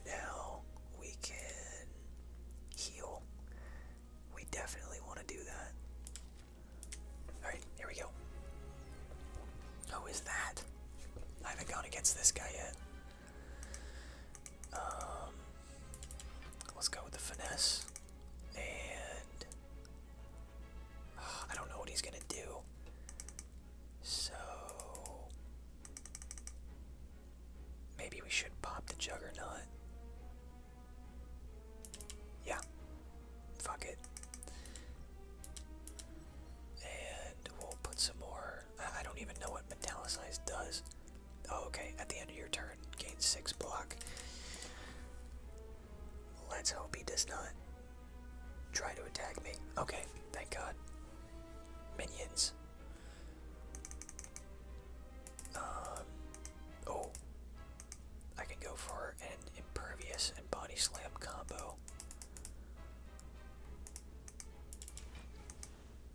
Now we can heal. We definitely want to do that. Alright, here we go. Who is that? I haven't gone against this guy yet. Um, let's go with the finesse. And ah, I don't know what he's gonna do. So maybe we should pop the juggernaut. Yeah. Fuck it. And we'll put some more. I don't even know what metallicized does. Oh, okay. At the end of your turn, gain six block. Let's hope he does not try to attack me. Okay, thank God. Minions. Um. Oh. I can go for an impervious and body slam combo.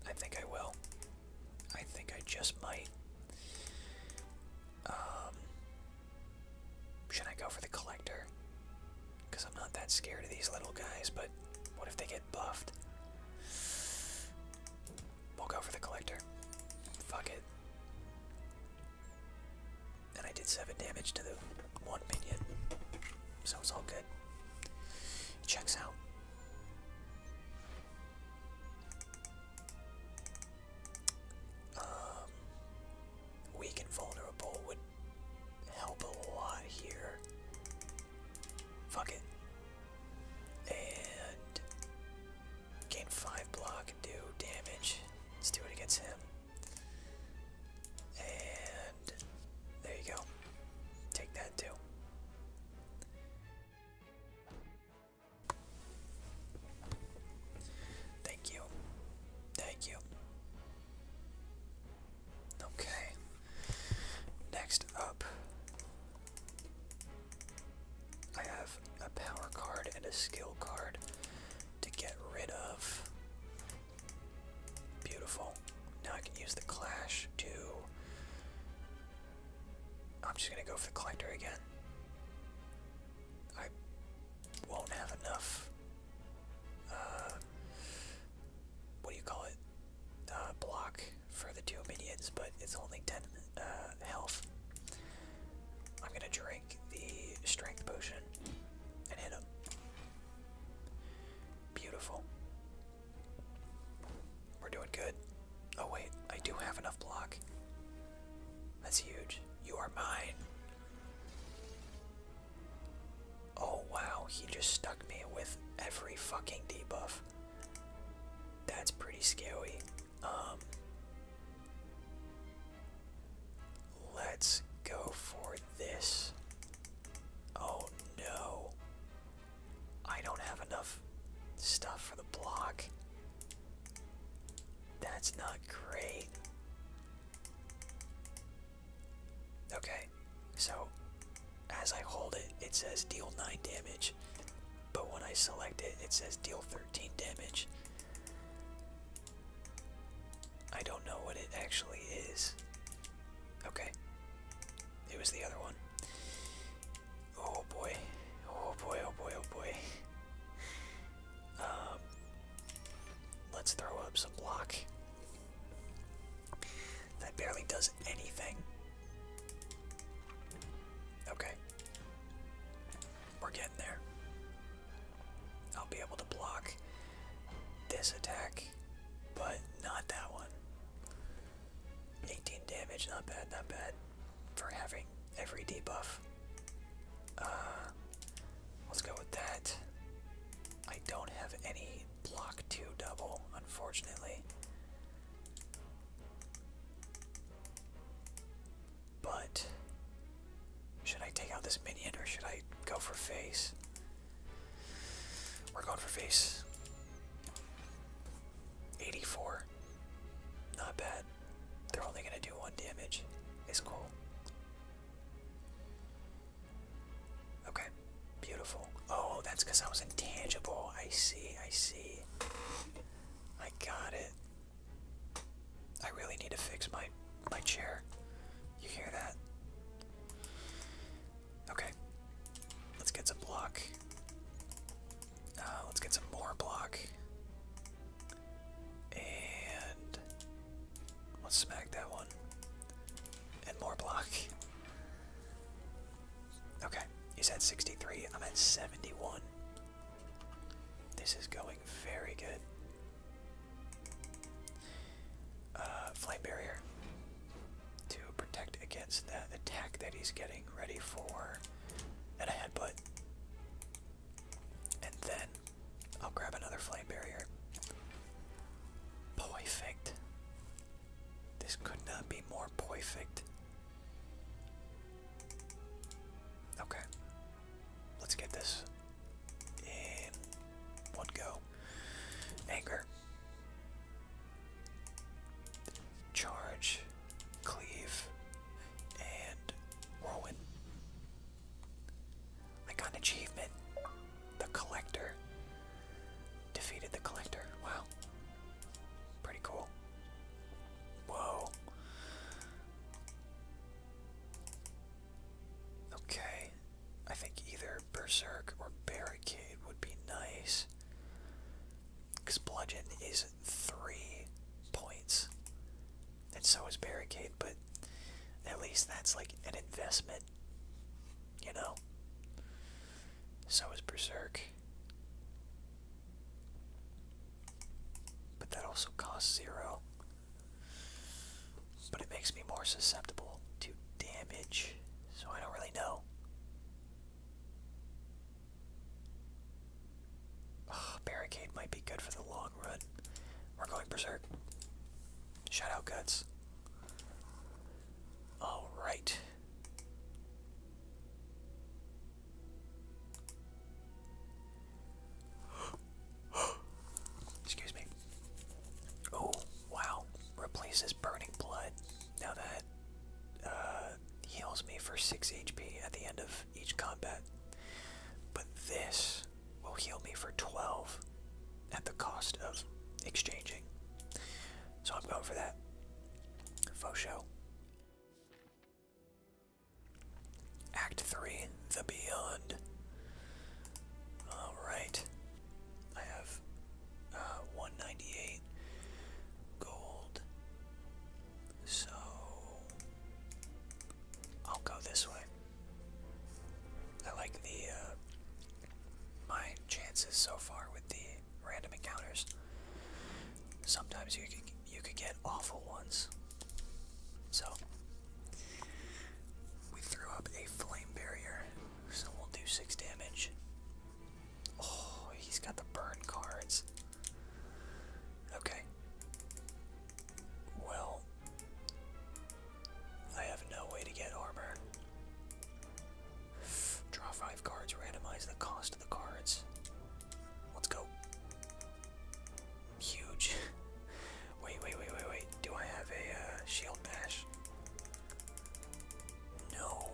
I think I will. I think I just might. Um, should I go for the collector? Because I'm not that scared of these little guys, but what if they get buffed? We'll go for the collector. Fuck it. And I did 7 damage to the one minion. So it's all good. checks out. Um, weak and vulnerable would help a lot here. Fuck it. And Gain 5 block do damage. Let's do it against him. And there you go. Take that too. Thank you. Thank you. Okay. Next up I have a power card and a skill card to get rid of. Beautiful. Now I can use the clash to. I'm just gonna go for the collector again. I won't have enough. Uh, what do you call it? Uh, block for the two minions, but it's only 10 uh, health. I'm gonna drink the strength potion and hit him. Beautiful. We're doing good. Oh wait, I do have enough block. That's huge. You are mine. Oh wow, he just stuck me with every fucking debuff. That's pretty scary. Um, let's go for this. Oh no. I don't have enough stuff for the block. That's not great. Okay, so as I hold it, it says deal 9 damage, but when I select it, it says deal 13 damage. I don't know what it actually is. Okay. It was the other one. Oh boy. Oh boy, oh boy, oh boy. Um, let's throw up some block. That barely does anything. Okay. We're getting there. I'll be able to block this attack, but not that one. 18 damage, not bad, not bad. For having every debuff. Uh, let's go with that. I don't have any block 2 double, unfortunately. But should I take out this minion or should I go for face? We're going for face. 84. Not bad. They're only gonna do one damage. It's cool. Okay. Beautiful. Oh, that's because I was intangible. I see, I see. I got it. I really need to fix my my chair. You hear that? Okay. Let's get some block. Uh, let's get some more block. And let's smack that one. And more block. Okay, you said 63. I'm at 71. This is going very good. Uh, flight barrier to protect against that attack that he's getting ready for, and a headbutt. And then I'll grab another flight barrier. Perfect. This could not be more perfect. Okay. Let's get this in one go. Anger. Charge, cleave, and whirlwind. I got an achievement. The collector. Defeated the collector. Wow. Pretty cool. Whoa. Okay. I think either Berserk or Barricade would be nice. Because Bludgeon is three points. And so is Barricade, but at least that's like an investment. You know? So is Berserk. But that also costs zero. But it makes me more susceptible to damage, so I don't really know. barricade might be good for the long run. We're going berserk. Shout out guts. Alright. Excuse me. Oh, wow. Replaces burning blood. Now that uh, heals me for 6 HP at the end of each combat. But this will heal me for 12 at the cost of exchanging. So I'm going for that. Faux show. Act 3 The Beyond. Alright. I have uh, 198 gold. So. I'll go this way. I like the. Uh, my chances so far with the random encounters. Sometimes you you could get awful ones. So, we threw up a flame barrier, so we'll do 6 damage. Oh, he's got the burn cards. Okay. Well, I have no way to get armor. Draw 5 cards, randomize the cost of the cards. Let's go huge. wait, wait, wait, wait, wait. Do I have a uh, shield bash? No.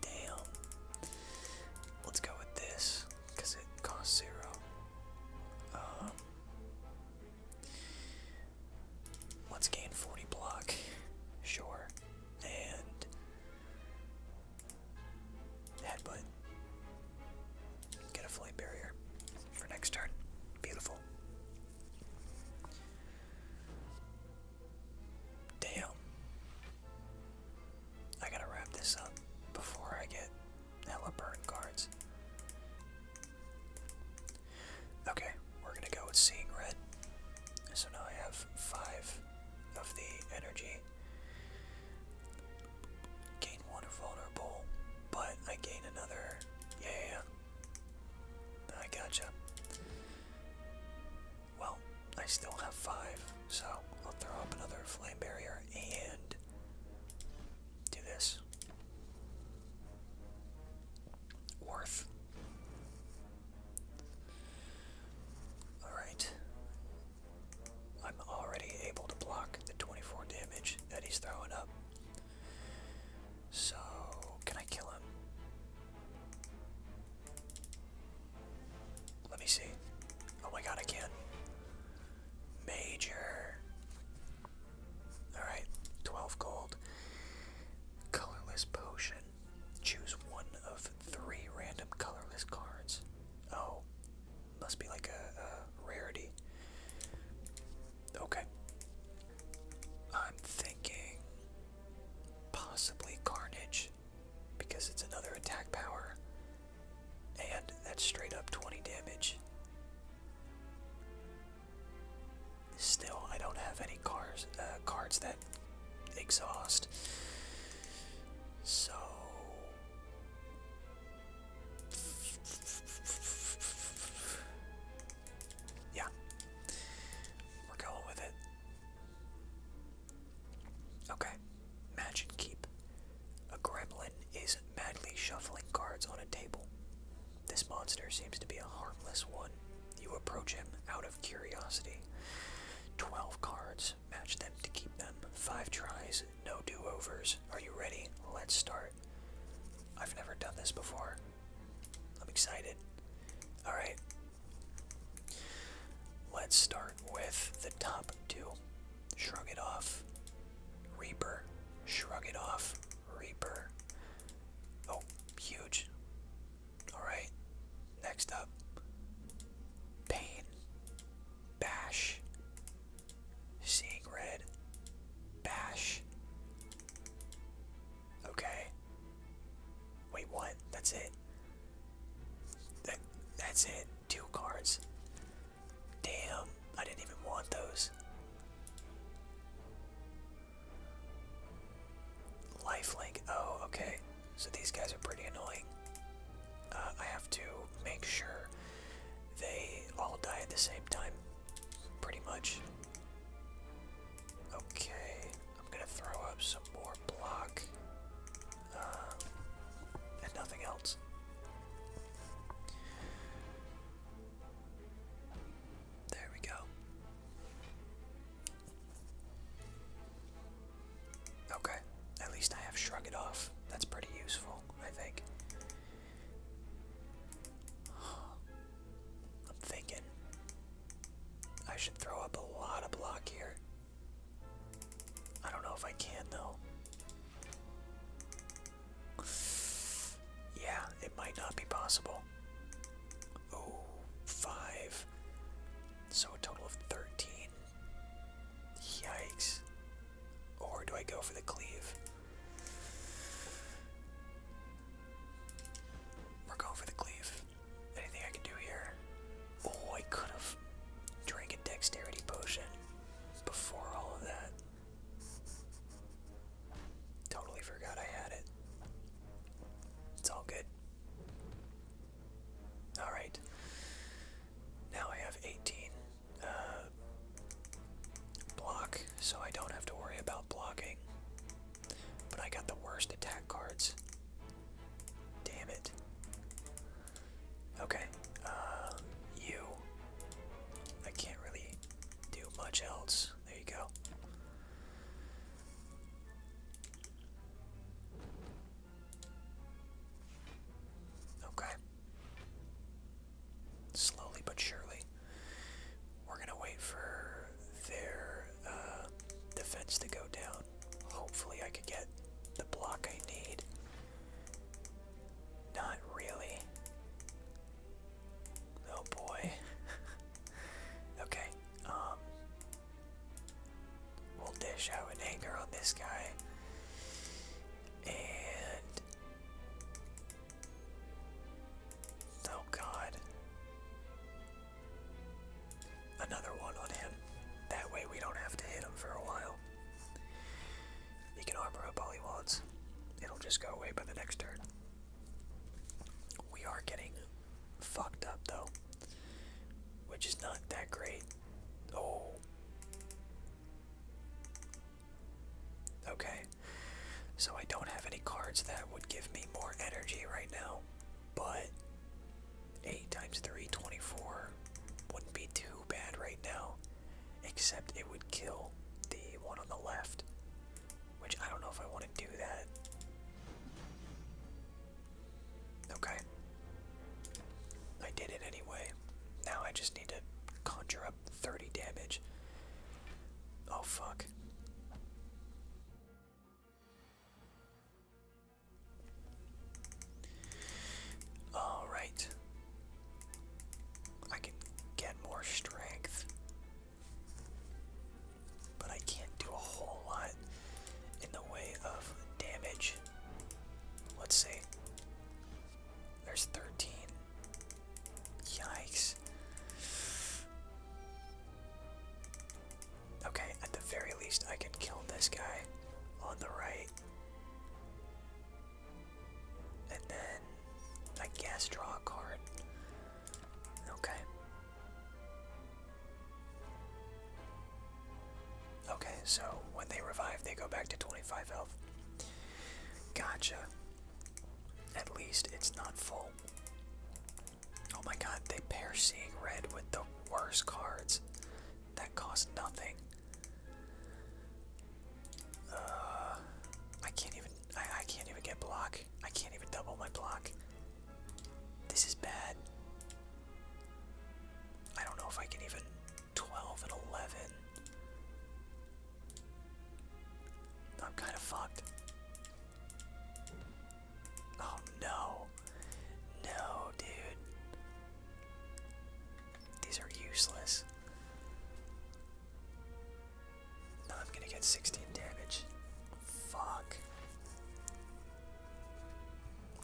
Damn. Let's go with this because it costs zero. Um, let's gain 40 block. Sure. And Headbutt. Get a flame barrier for next turn. Beautiful. Damn. I gotta wrap this up before I get hella burn cards. Okay, we're gonna go with Seeing Red. So now I have five of the energy. Gain one vulnerable, but I gain another. Yeah, I gotcha. Well, I still have five, so I'll throw up another flame barrier and do this. Worth. Alright. I'm already able to block the 24 damage that he's throwing up. So, can I kill him? Let me see. Oh my god, I can. not Major. Alright, 12 gold. Colorless potion. Choose one of three random colorless cards. Oh, must be like a, rarity. Okay. I'm thinking possibly Carnage because it's another attack power and that's straight up 20 damage. Still, I don't have any cars, uh, cards that exhaust. So yeah. We're going with it. Okay. Match and keep. A gremlin is madly shuffling cards on a table. This monster seems to be a harmless one. You approach him out of curiosity. 12 cards, match them to keep them. 5 tries, no do-overs. Are you ready? Let's start. I've never done this before. I'm excited. Alright. Let's start with the top two. Shrug it off. Reaper. Shrug it off. Reaper. Oh, huge. Alright. Next up. Pain. Bash. Seeing red. Bash. Okay. Wait, what? That's it. That, that's it. Two cards. Damn, I didn't even want those. Lifelink. Oh, okay. So these guys are pretty annoying. Uh, I have to make sure they all die at the same time, pretty much. Okay, I'm gonna throw up some more block, uh, and nothing else. There we go. Okay, at least I have Shrug It Off. That's pretty useful, I think. I'm thinking I should throw up a lot of block here. I don't know if I can, though. Yeah, it might not be possible. Oh, five. So a total of 13 yikes. Or do I go for the cleave? We're going for the cleave. Anything I can do here? Oh, I could have drank a dexterity potion before all of that. Totally forgot I had it. It's all good. Alright. Now I have 18. Uh, block, so I don't have to worry about blocking. But I got the worst attack cards. Damn it. Okay, um, you. I can't really do much else. There you go. Okay. Slowly but surely, we're gonna wait for their uh, defense to go down. Hopefully, I could get the block I need. Not really. Oh boy. okay. Um, we'll dish out anger on this guy oh god. Another one on him. That way we don't have to hit him for a while. He can armor up all he wants. It'll just go away by the next turn. We are getting fucked up though. Which is not that great. Oh. Okay. So I don't have any cards that would give me more energy right now, but 8 times three wouldn't be too bad right now, except it would kill the one on the left, which I don't know if I want to do that. Okay. I did it anyway now I just need to conjure up 30 damage. Oh fuck. Alright. I can get more strength. But I can't do a whole lot in the way of damage. Let's see. There's 13. Yikes. Okay, at the very least, I can kill this guy on the right. And then, I guess, draw a card. Okay. Okay, so when they revive, they go back to 25 health. Gotcha. At least it's not full. Oh my god, they pair Seeing Red with the worst cards. That cost nothing. Uh, I can't even. I can't even get block. I can't even double my block. This is bad. I don't know if I can even 12 and 11. I'm kind of fucked. Oh no. No, dude. These are useless. Now I'm gonna get 16 damage. Fuck.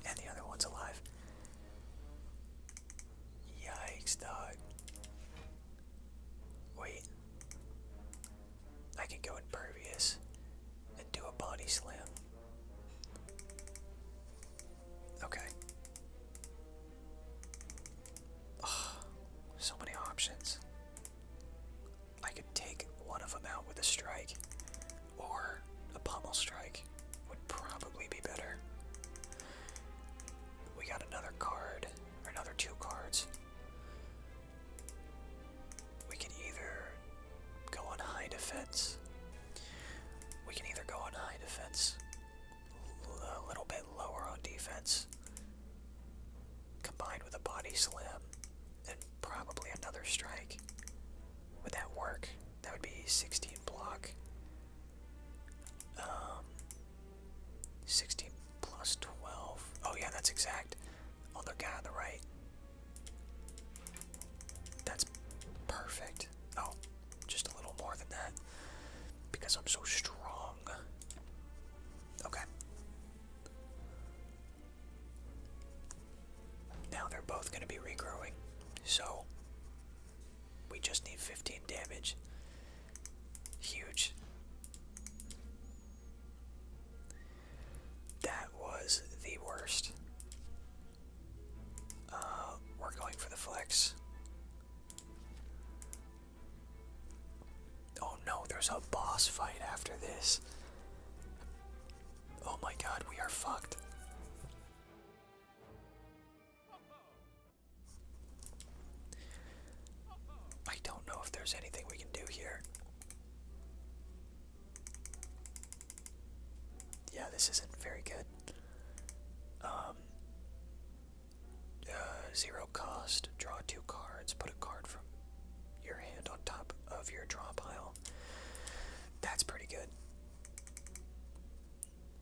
And the other one's alive. Yikes, dog. Wait. I can go impervious and do a body slam. Okay. so many options. I could take one of them out with a strike, or a pummel strike would probably be better. We got another card, or another two cards. We can either go on high defense. We can either go on high defense, a little bit lower on defense, combined with a body slam, and probably another strike. Would that work? That would be 16 block. Um, 16 plus 12. Oh, yeah, that's exact. Oh, the guy on the right. That's perfect. Oh, just a little more than that. Because I'm so strong. Okay. Now they're both going to be regrowing. So, we just need 15 damage. Huge. That was the worst. Uh, we're going for the flex. Oh no, there's a boss fight after this. Oh my god, we are fucked. I don't know if there's anything we can do here. Yeah, this isn't very good. Um, uh, zero cost, draw two cards, put a card from your hand on top of your draw pile. That's pretty good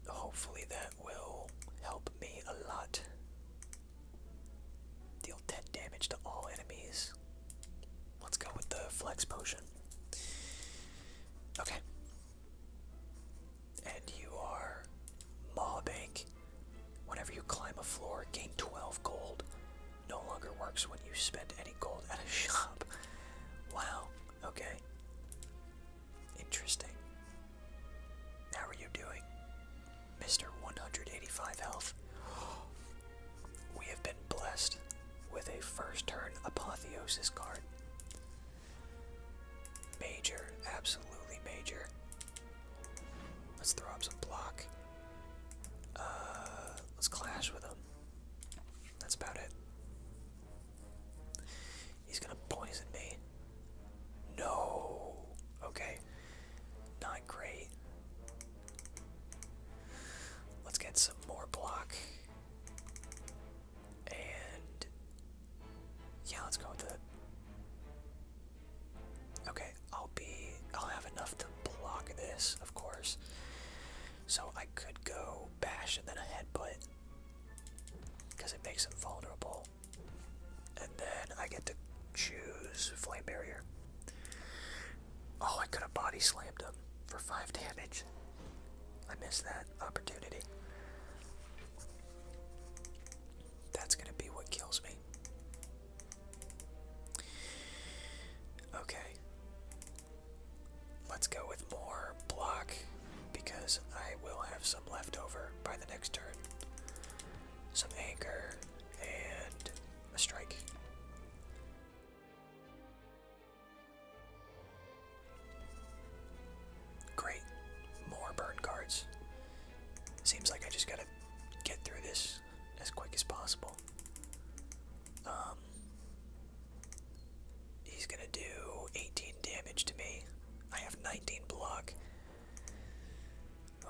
hopefully that will help me a lot. Deal 10 damage to all enemies. Let's go with the flex potion. Okay. And you are Maw Bank. Whenever you climb a floor, gain 12 gold. No longer works when you spend any gold at a shop. Wow. Okay. Interesting. How are you doing? Mr. 185 health. We have been blessed with a first turn apotheosis card. Major, absolutely major. Let's throw up some block. Uh, let's clash with them. That's about it. He's gonna poison me. No. Okay. Not great. Let's get some more block. And yeah, let's go with the. Okay, I'll be. I'll have enough to block this, of course. So I could go bash and then a headbutt because it makes them vulnerable. And then I get to choose Flame Barrier. Oh, I could have body slammed him for 5 damage. I missed that opportunity. That's gonna be what kills me. Okay. Let's go with more block because I will have some left over by the next turn. Some anchor and a strike. Great. More burn cards. Seems like I just gotta get through this as quick as possible. Um, he's gonna do 18 damage to me. I have 19 block.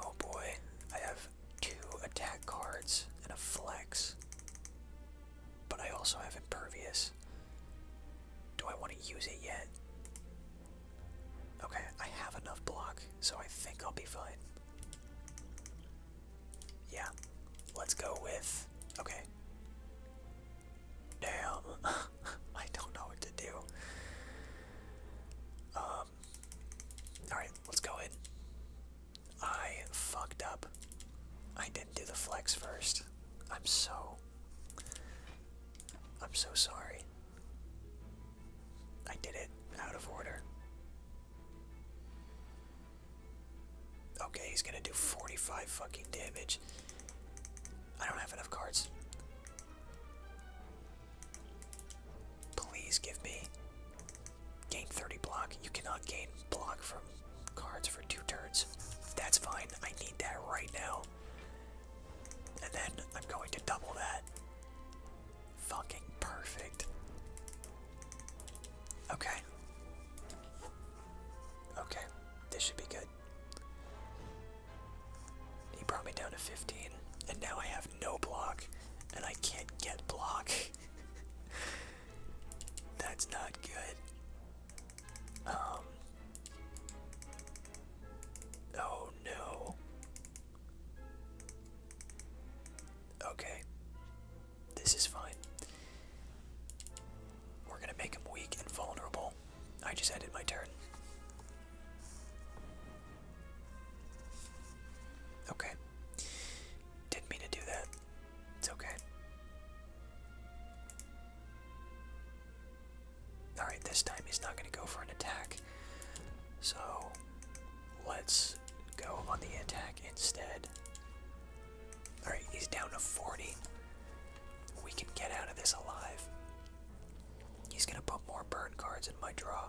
Oh boy, I have two attack cards and a flex. But I also have impervious. Do I want to use it yet? Okay, I have enough block, so I think I'll be fine. Yeah, let's go with. Okay. Damn, I don't know what to do. Um, alright, let's go in. I fucked up. I didn't do the flex first. I'm so. I'm so sorry. I did it out of order. Okay, he's gonna do 45 fucking damage. I don't have enough cards. Please give me gain 30 block. You cannot gain block from cards for two turns. That's fine. I need that right now. And then I'm going to double that. Fucking perfect. Okay. Okay. This should be good. He brought me down to 15, and now I have no block, and I can't get block. That's not good. Um. Oh no. Okay. This is fine. We're gonna make him weak and vulnerable. I just ended my turn. Okay. Didn't mean to do that. It's okay. Alright, this time he's not going to go for an attack. So, let's go on the attack instead. Alright, he's down to 40. We can get out of this alive. He's gonna put more burn cards in my draw.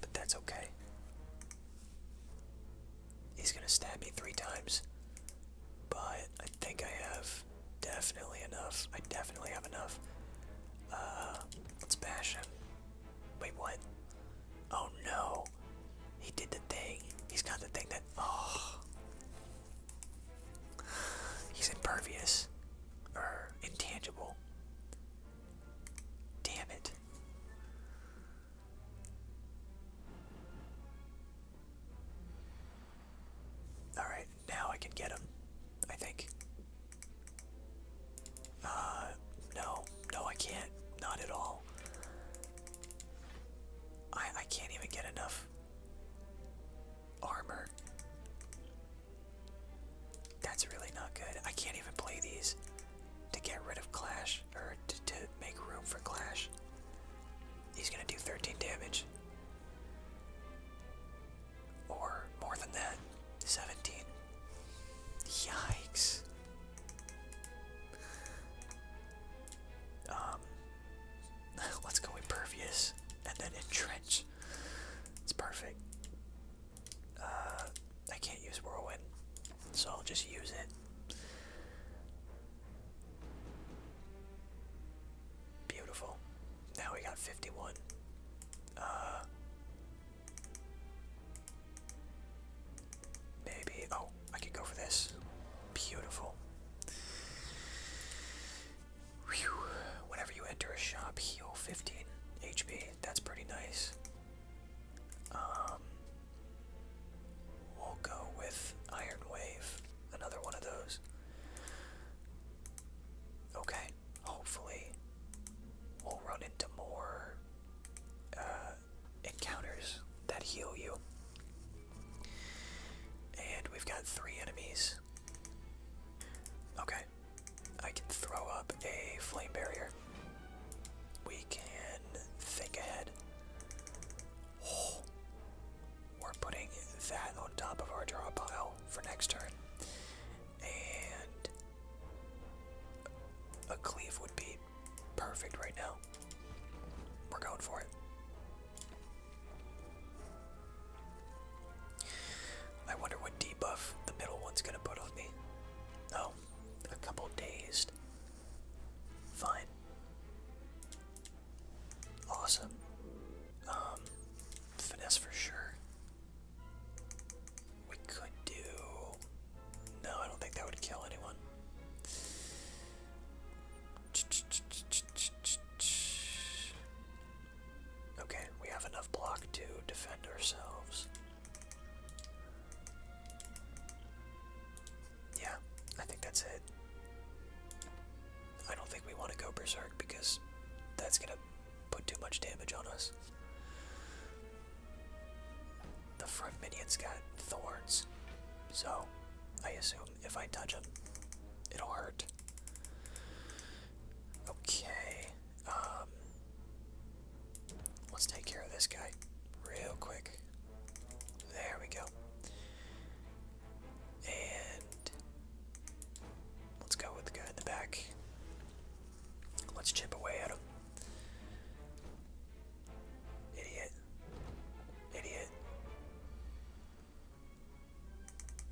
But that's okay. He's gonna stab me three times. But I think I have definitely enough. I definitely have enough. Uh, let's bash him. Wait, what? Oh no. He did the thing. He's got the thing that. Oh. He's impervious. Or intangible. Damn it. Alright, now I can get him. I think. Uh, no. No, I can't. Not at all. I, I can't even get enough armor. That's really not good. I can't even play these to get rid of Clash, or to, make room for Clash. He's gonna do 13 damage. Or more than that, 17. Yikes. Um, Let's go impervious and then entrench. It's perfect. Uh, I can't use whirlwind, so I'll just use it. Beautiful. Now we got 51. Uh, maybe. Oh, I could go for this. Beautiful. Whenever you enter a shop, heal 15 HP. That's pretty nice. Um, we'll go with Iron Wave. Another one of those. Okay, hopefully we'll run into more uh, encounters that heal you. And we've got three enemies. Okay. I can throw up a flame barrier. We can think ahead. Oh, we're putting that on top of our draw pile for next turn. And a cleave would be perfect right now. We're going for it. I wonder what debuff the middle one's gonna put on me. Oh, a couple dazed. Fine. Awesome. Um, finesse for sure. We could do. No, I don't think that would kill anyone. Okay, we have enough block to defend ourselves. Yeah, I think that's it. I don't think we want to go berserk because that's going to put too much damage on us. The front minion's got thorns, so I assume if I touch them, it'll hurt. Okay. Um, let's take care of this guy real quick. There we go. And let's go with the guy in the back. Let's chip away at him. Idiot. Idiot.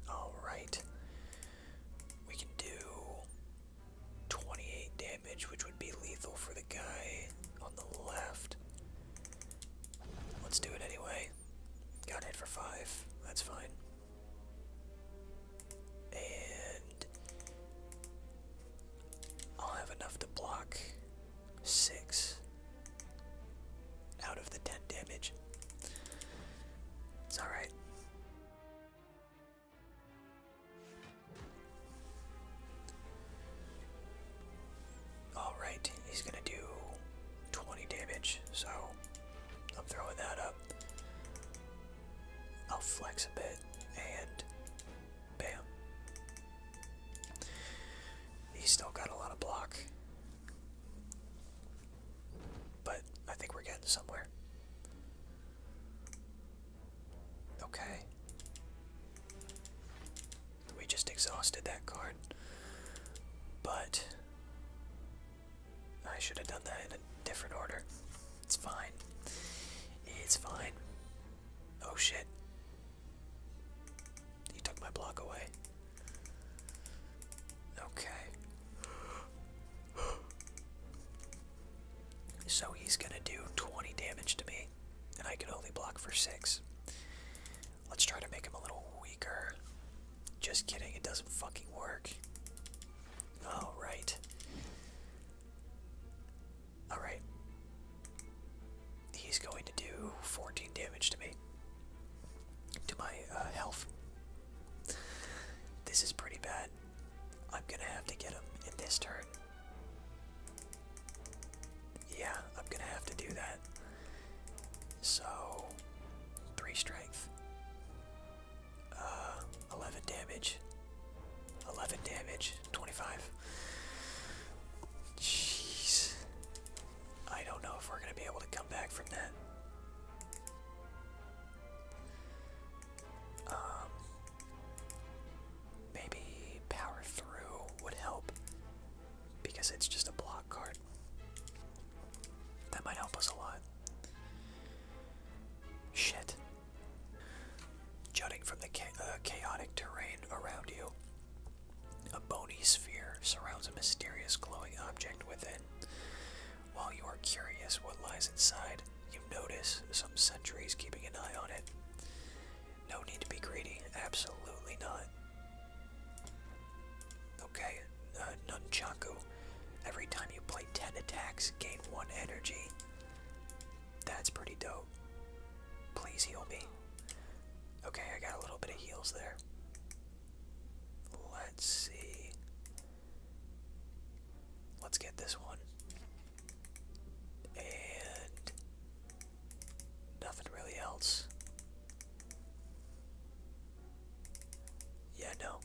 Alright. We can do 28 damage, which would be lethal for the guy on the left. Let's do it anyway. Got it for 5. That's fine. And I'll have enough to block 6 out of the tent damage. It's alright. Alright, he's gonna do 20 damage, so I'm throwing that up. I'll flex a bit and bam. He's still got a lot of block. But I think we're getting somewhere. Okay. We just exhausted that card. But I should have done that in a different order. It's fine. It's fine. Oh shit. He took my block away. Okay. So he's gonna do 20 damage to me, and I can only block for 6. Let's try to make him a little weaker. Just kidding, it doesn't fucking work. Alright. Alright. He's going to do 14 damage to me to my uh, health. This is pretty bad. I'm gonna have to get him in this turn. Yeah, I'm gonna have to do that. So, three strength, uh, eleven damage, eleven damage, twenty-five. Jeez, I don't know if we're going to be able to come back from that. Um, maybe power through would help because it's just a block card. That might help us a lot. Shit. Jutting from the uh, chaotic terrain around you, a bony sphere surrounds a mysterious glowing object within. While you are curious what lies inside, you notice some sentries keeping an eye on it. No need to be greedy, absolutely not. Okay, uh, Nunchaku. Every time you play 10 attacks, gain 1 energy. That's pretty dope. Please heal me. Okay, I got a little bit of heals there. Let's see. Let's get this one. And nothing really else. Yeah, no.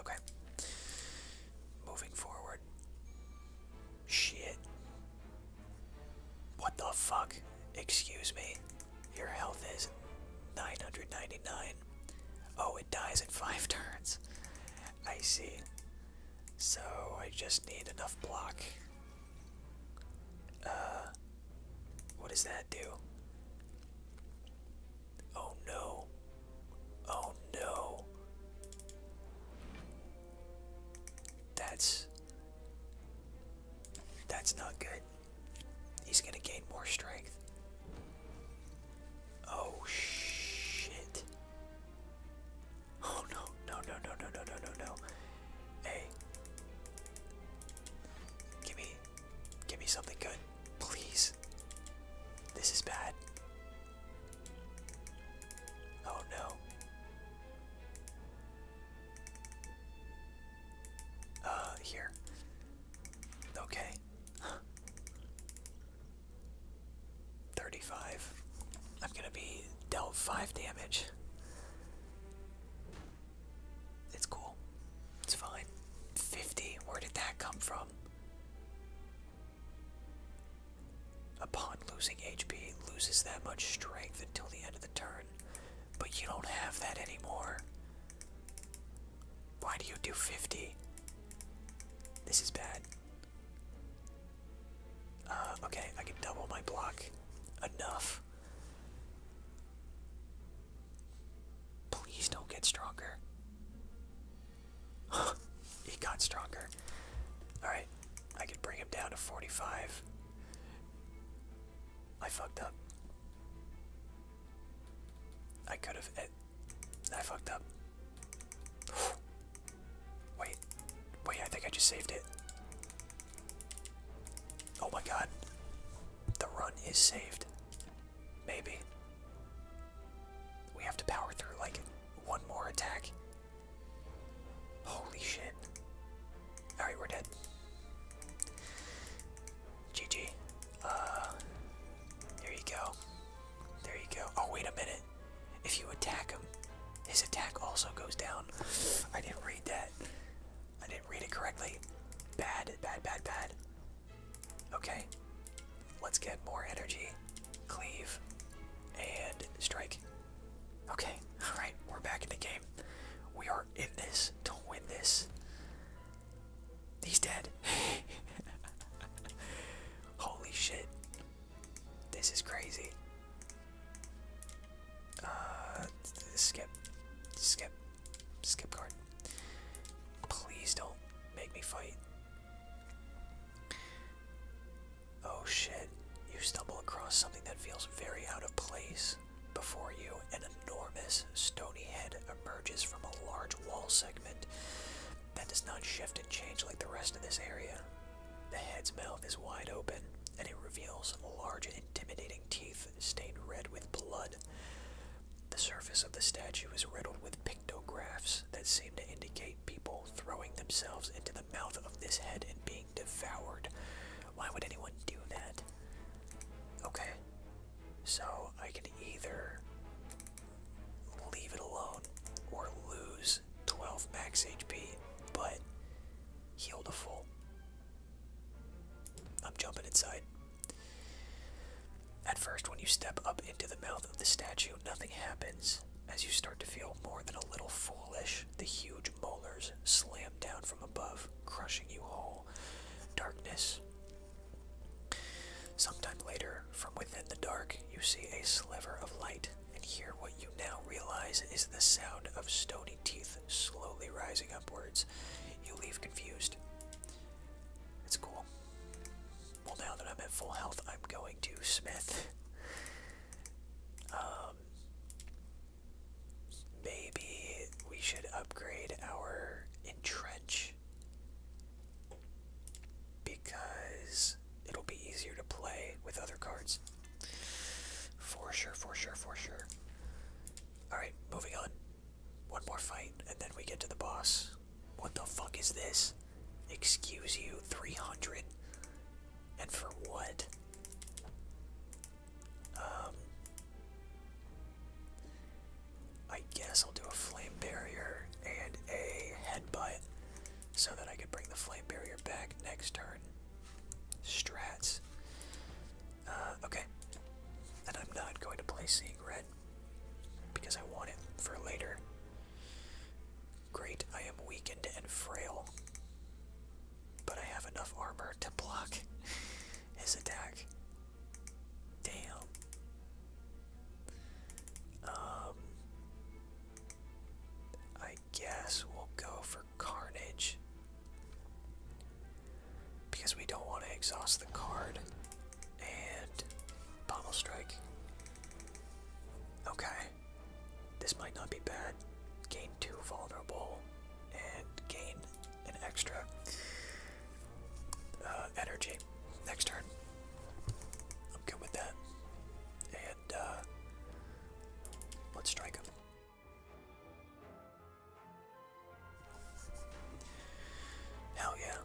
Okay. Moving forward. Shit. What the fuck? Excuse me. Your health is 999. Oh, it dies in five turns. I see. So I just need enough block. Uh, what does that do? Oh no. Oh no. That's. That's not good. He's gonna gain more strength. Oh shit. Oh no, no, no, no, no, no, no, no, no. Hey. Give me give me something good, please. This is bad. Oh no. Uh, here. Okay. 35. I'm gonna be dealt 5 damage. It's cool. It's fine. 50. Where did that come from? Upon losing HP, loses that much strength until the end of the turn. But you don't have that anymore. Why do you do 50? This is bad. Uh, okay, I can double my block. Enough. Please don't get stronger. He got stronger. Alright, I can bring him down to 45. I fucked up. I could have. Eh, I fucked up. Wait. Wait, I think I just saved it. Oh my god. The run is saved. Maybe. We have to power through like one more attack. Holy shit. Alright, we're dead. GG. Uh, there you go. There you go. Oh, wait a minute. If you attack him, his attack also goes down. I didn't read that. I didn't read it correctly. Bad, bad, bad, bad. Okay. Let's get more energy. Cleave. And strike. Okay. Alright, we're back in the game. We are in this. Don't win this. He's dead. Holy shit. This is crazy. Uh, skip. Skip. Skip card. Please don't make me fight. Oh shit. You stumble across something that feels very out of place before you, an enormous stony head emerges from a large wall segment that does not shift and change like the rest of this area. The head's mouth is wide open, and it reveals large intimidating teeth stained red with blood. The surface of the statue is riddled with pictographs that seem to indicate people throwing themselves into the mouth of this head and being devoured. Why would anyone do that? Okay. So I can either leave it alone or lose 12 max HP, but heal to full. I'm jumping inside. At first, when you step up into the mouth of the statue, nothing happens. As you start to feel more than a little foolish, the huge molars slam down from above, crushing you whole eternal darkness. Sometime later, from within the dark, you see a sliver of light and hear what you now realize is the sound of stony teeth slowly rising upwards. You leave confused. It's cool. Well, now that I'm at full health, I'm going to Smith. Um, Maybe we should upgrade our entrench because it'll be easier to play with other cards. For sure, for sure, for sure. Alright, moving on. One more fight, and then we get to the boss. What the fuck is this? Excuse you, 300? And for what? Um, I guess I'll do a flame barrier and a headbutt so that I can bring the flame barrier back next turn. Strats. Uh, okay. And I'm not going to play Seeing because I want it for later. Great, I am weakened and frail, but I have enough armor to block. his attack. Damn. Um, I guess we'll go for Carnage. Because we don't want to exhaust the card. And Pommel Strike. Okay. This might not be bad. Gain two vulnerable and gain an extra uh, energy next turn. I'm good with that. And uh, let's strike him. Hell yeah.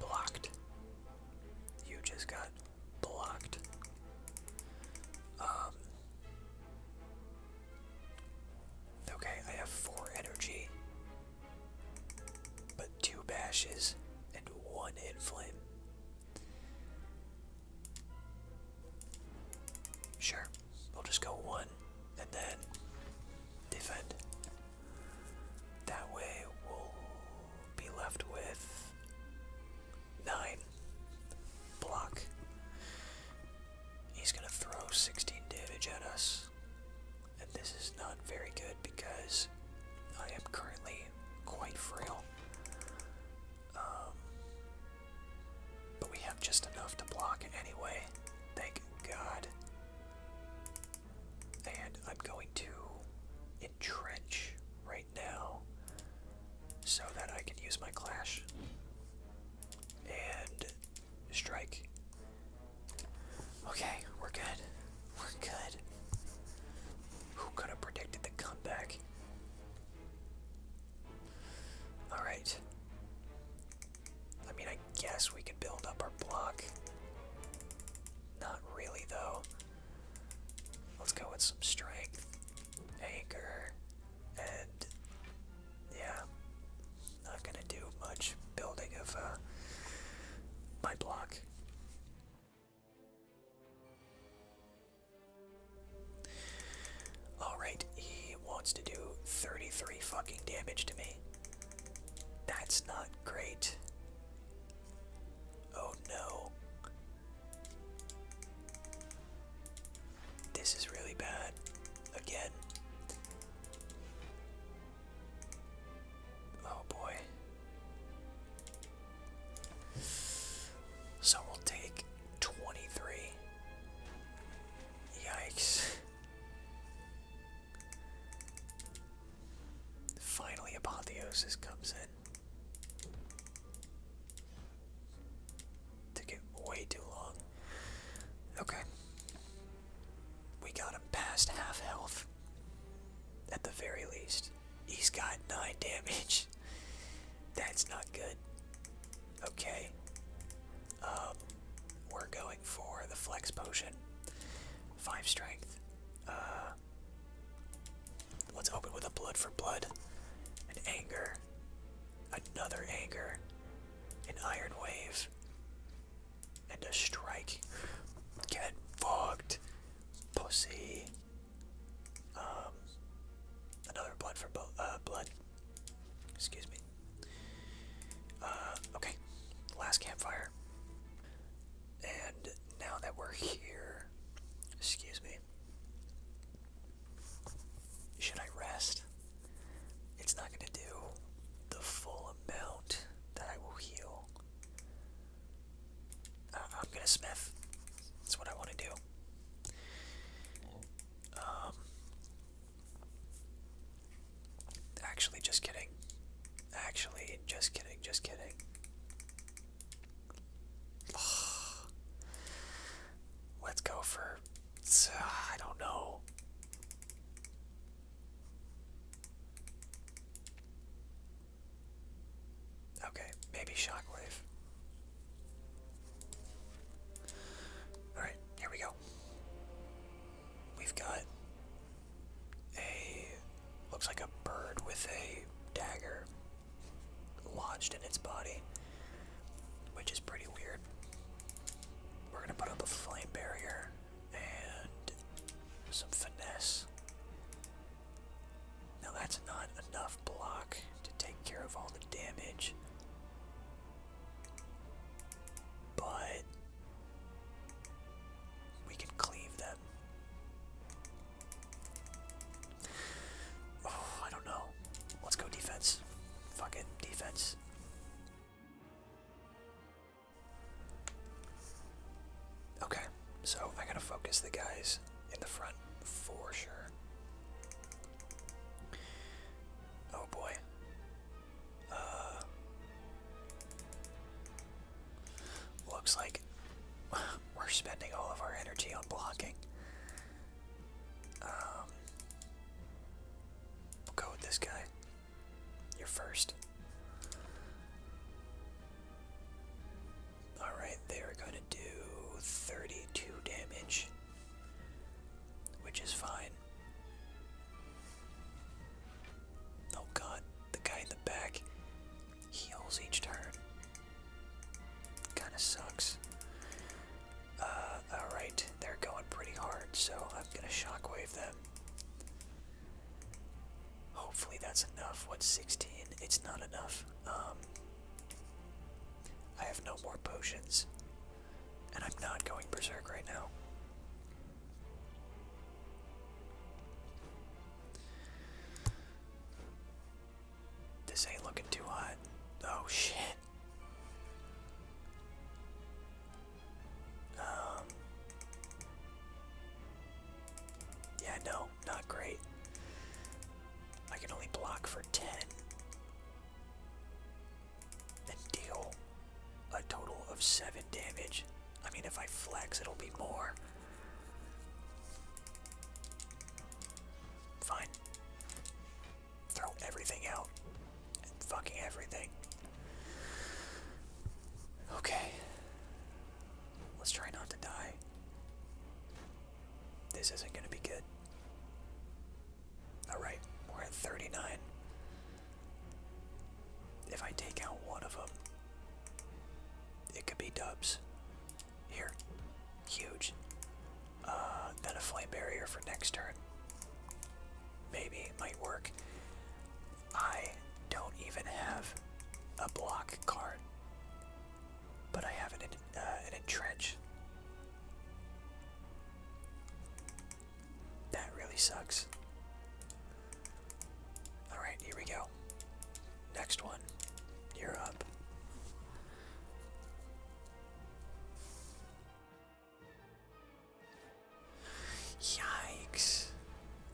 Blocked. You just got blocked. Um, Okay, I have four energy, but two bashes and one inflame. Sure, we'll just go one and then defend. That way we'll be left with nine block. He's going to throw 16 damage at us. And this is not very good because I am currently quite frail. Um, but we have just enough to block it anyway. Thank God. And I'm going to entrench right now so that I can use my clash. And Strike. Okay, we're good. We're good. Who could have predicted the comeback? Alright. I mean, I guess we could build up our block. Not really, though. Let's go with some strength, anger, and yeah, not gonna do much building of uh, my block. Alright, he wants to do 33 fucking damage to me. That's not great. Oh no. This is really bad. Again. Oh boy. So we'll take 23. Yikes. Finally, Apotheosis comes in. Took it way too long. Okay. We got him past half health. At the very least. He's got 9 damage. That's not good. Okay. Um, we're going for the flex potion. 5 strength. Uh, let's open with a blood for blood. An anger. Another anger. An iron wave. And a strike. Get fucked. Pussy. Um another blood for both uh blood. Excuse me. Uh okay. Last campfire. And now that we're here, excuse me. Should I rest? It's not going to do the full amount that I will heal. I'm going to smith. That's what I want to do. Um, actually, just kidding. Actually, just kidding, just kidding. Let's go for. Uh, I don't know. Okay, maybe Shockwave. Alright, here we go. We've got a. looks like a bird with a dagger lodged in its body which is pretty weird. We're gonna put up a flame barrier and some finesse. Now that's not enough block to take care of all the damage. But we can cleave them. Oh, I don't know. Let's go defense. Fuck it, defense. Okay, so I gotta focus the guys in the front for sure. Oh boy. Uh, looks like we're spending all of our energy on blocking we'll um, go with this guy. You're first. Alright, they are going to do 32 damage, which is fine. Oh god, the guy in the back heals each turn. Kinda sucks. Uh, Alright, they're going pretty hard, so I'm going to shockwave them. Hopefully that's enough. What's 16? It's not enough. Um, I have no more potions. And I'm not going berserk right now. This ain't looking too hot. Oh shit. Um, yeah, no, not great. I can only block for 10 and deal a total of 7 damage. I mean, if I flex, it'll be more. Fine throw everything out fucking everything. Okay. Let's try not to die. This isn't going to be good. Alright, we're at 39. If I take out one of them, it could be dubs. Here. Huge. Uh, then a flight barrier for next turn. Maybe it might work. I don't even have a block card, but I have an, uh, an entrench. That really sucks. Alright, here we go. Next one. You're up. Yikes.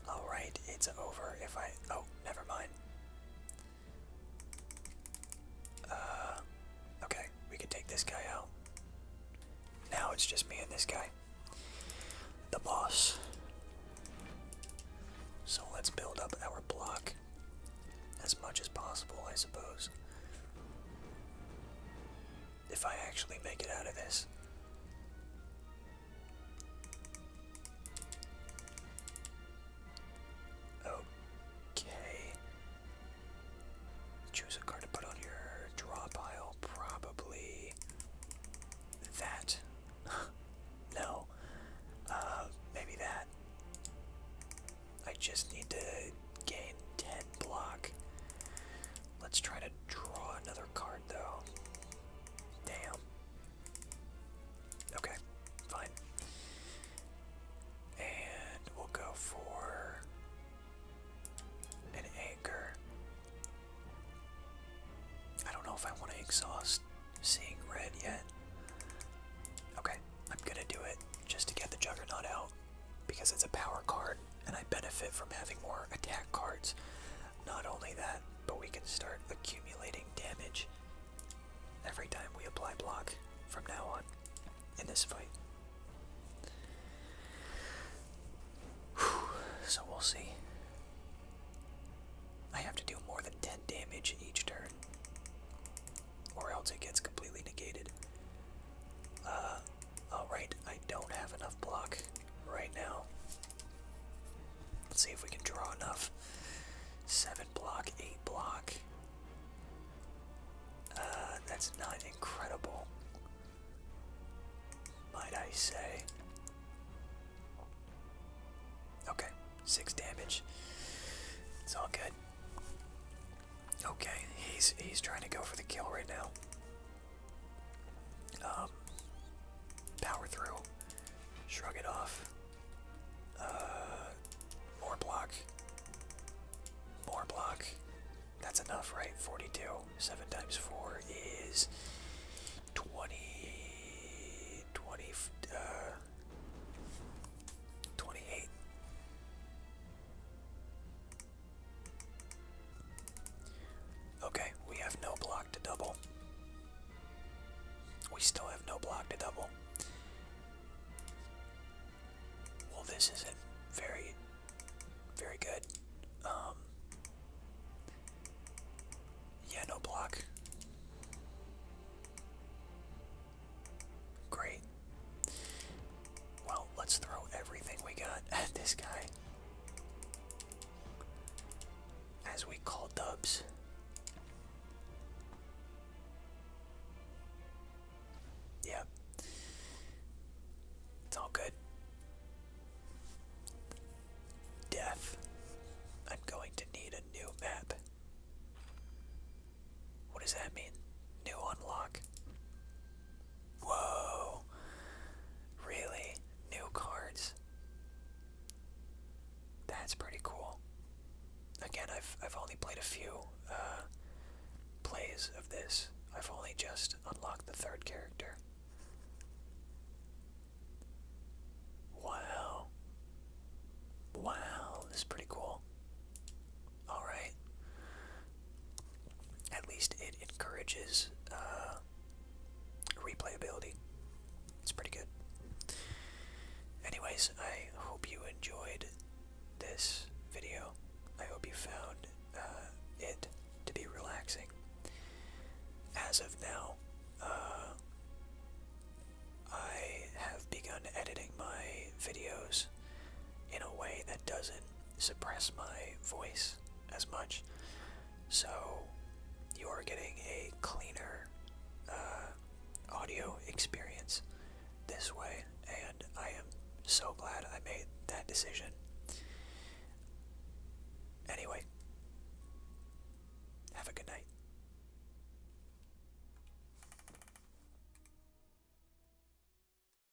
Alright, it's over if I. Oh, never mind. Uh, okay, we can take this guy out. Now it's just me and this guy. The boss. So let's build up our block as much as possible, I suppose if I actually make it out of this. Okay. Choose a card to put on your draw pile. Probably that. no. Uh, maybe that. I just need to gain 10 block. Let's try to draw another card though. Damn. Okay, fine. And we'll go for an anchor. I don't know if I want to exhaust seeing red yet. Okay, I'm gonna do it just to get the juggernaut out because it's a power card and I benefit from having more attack cards. Not only that, but we can start accumulating damage every time we apply block from now on in this fight. so we'll see. I have to do more than 10 damage each turn, or else it gets completely negated. Uh, Alright, I don't have enough block right now. Let's see if we can draw enough. 7 block, 8 block. Uh, that's not incredible, might I say. Okay, 6 damage. It's all good. Okay, he's he's trying to go for the kill right now. Um, power through, shrug it off. Uh, more block, more block. That's enough, right? Forty-two. Seven times four is twenty. Twenty. Uh, Twenty-eight. Okay, we have no block to double. We still have no block to double. Well, this isn't very, very good. Um, yeah, no block. Great. Well, let's throw everything we got at this guy. As we call dubs. Yep. It's all good. Death. I'm going to need a new map. What does that mean? New unlock. Whoa. Really? New cards? That's pretty cool. Again, I've, I've only played a few uh, plays of this. I've only just unlocked the third character. Wow. Wow, this is pretty cool all right. At least it encourages uh, replayability. It's pretty good. Anyways, I hope you enjoyed this video. I hope you found uh, it to be relaxing. As of now, uh, I have begun editing my videos in a way that doesn't suppress my voice as much. So you are getting a cleaner uh, audio experience this way, and I am so glad I made that decision. Anyway, have a good night.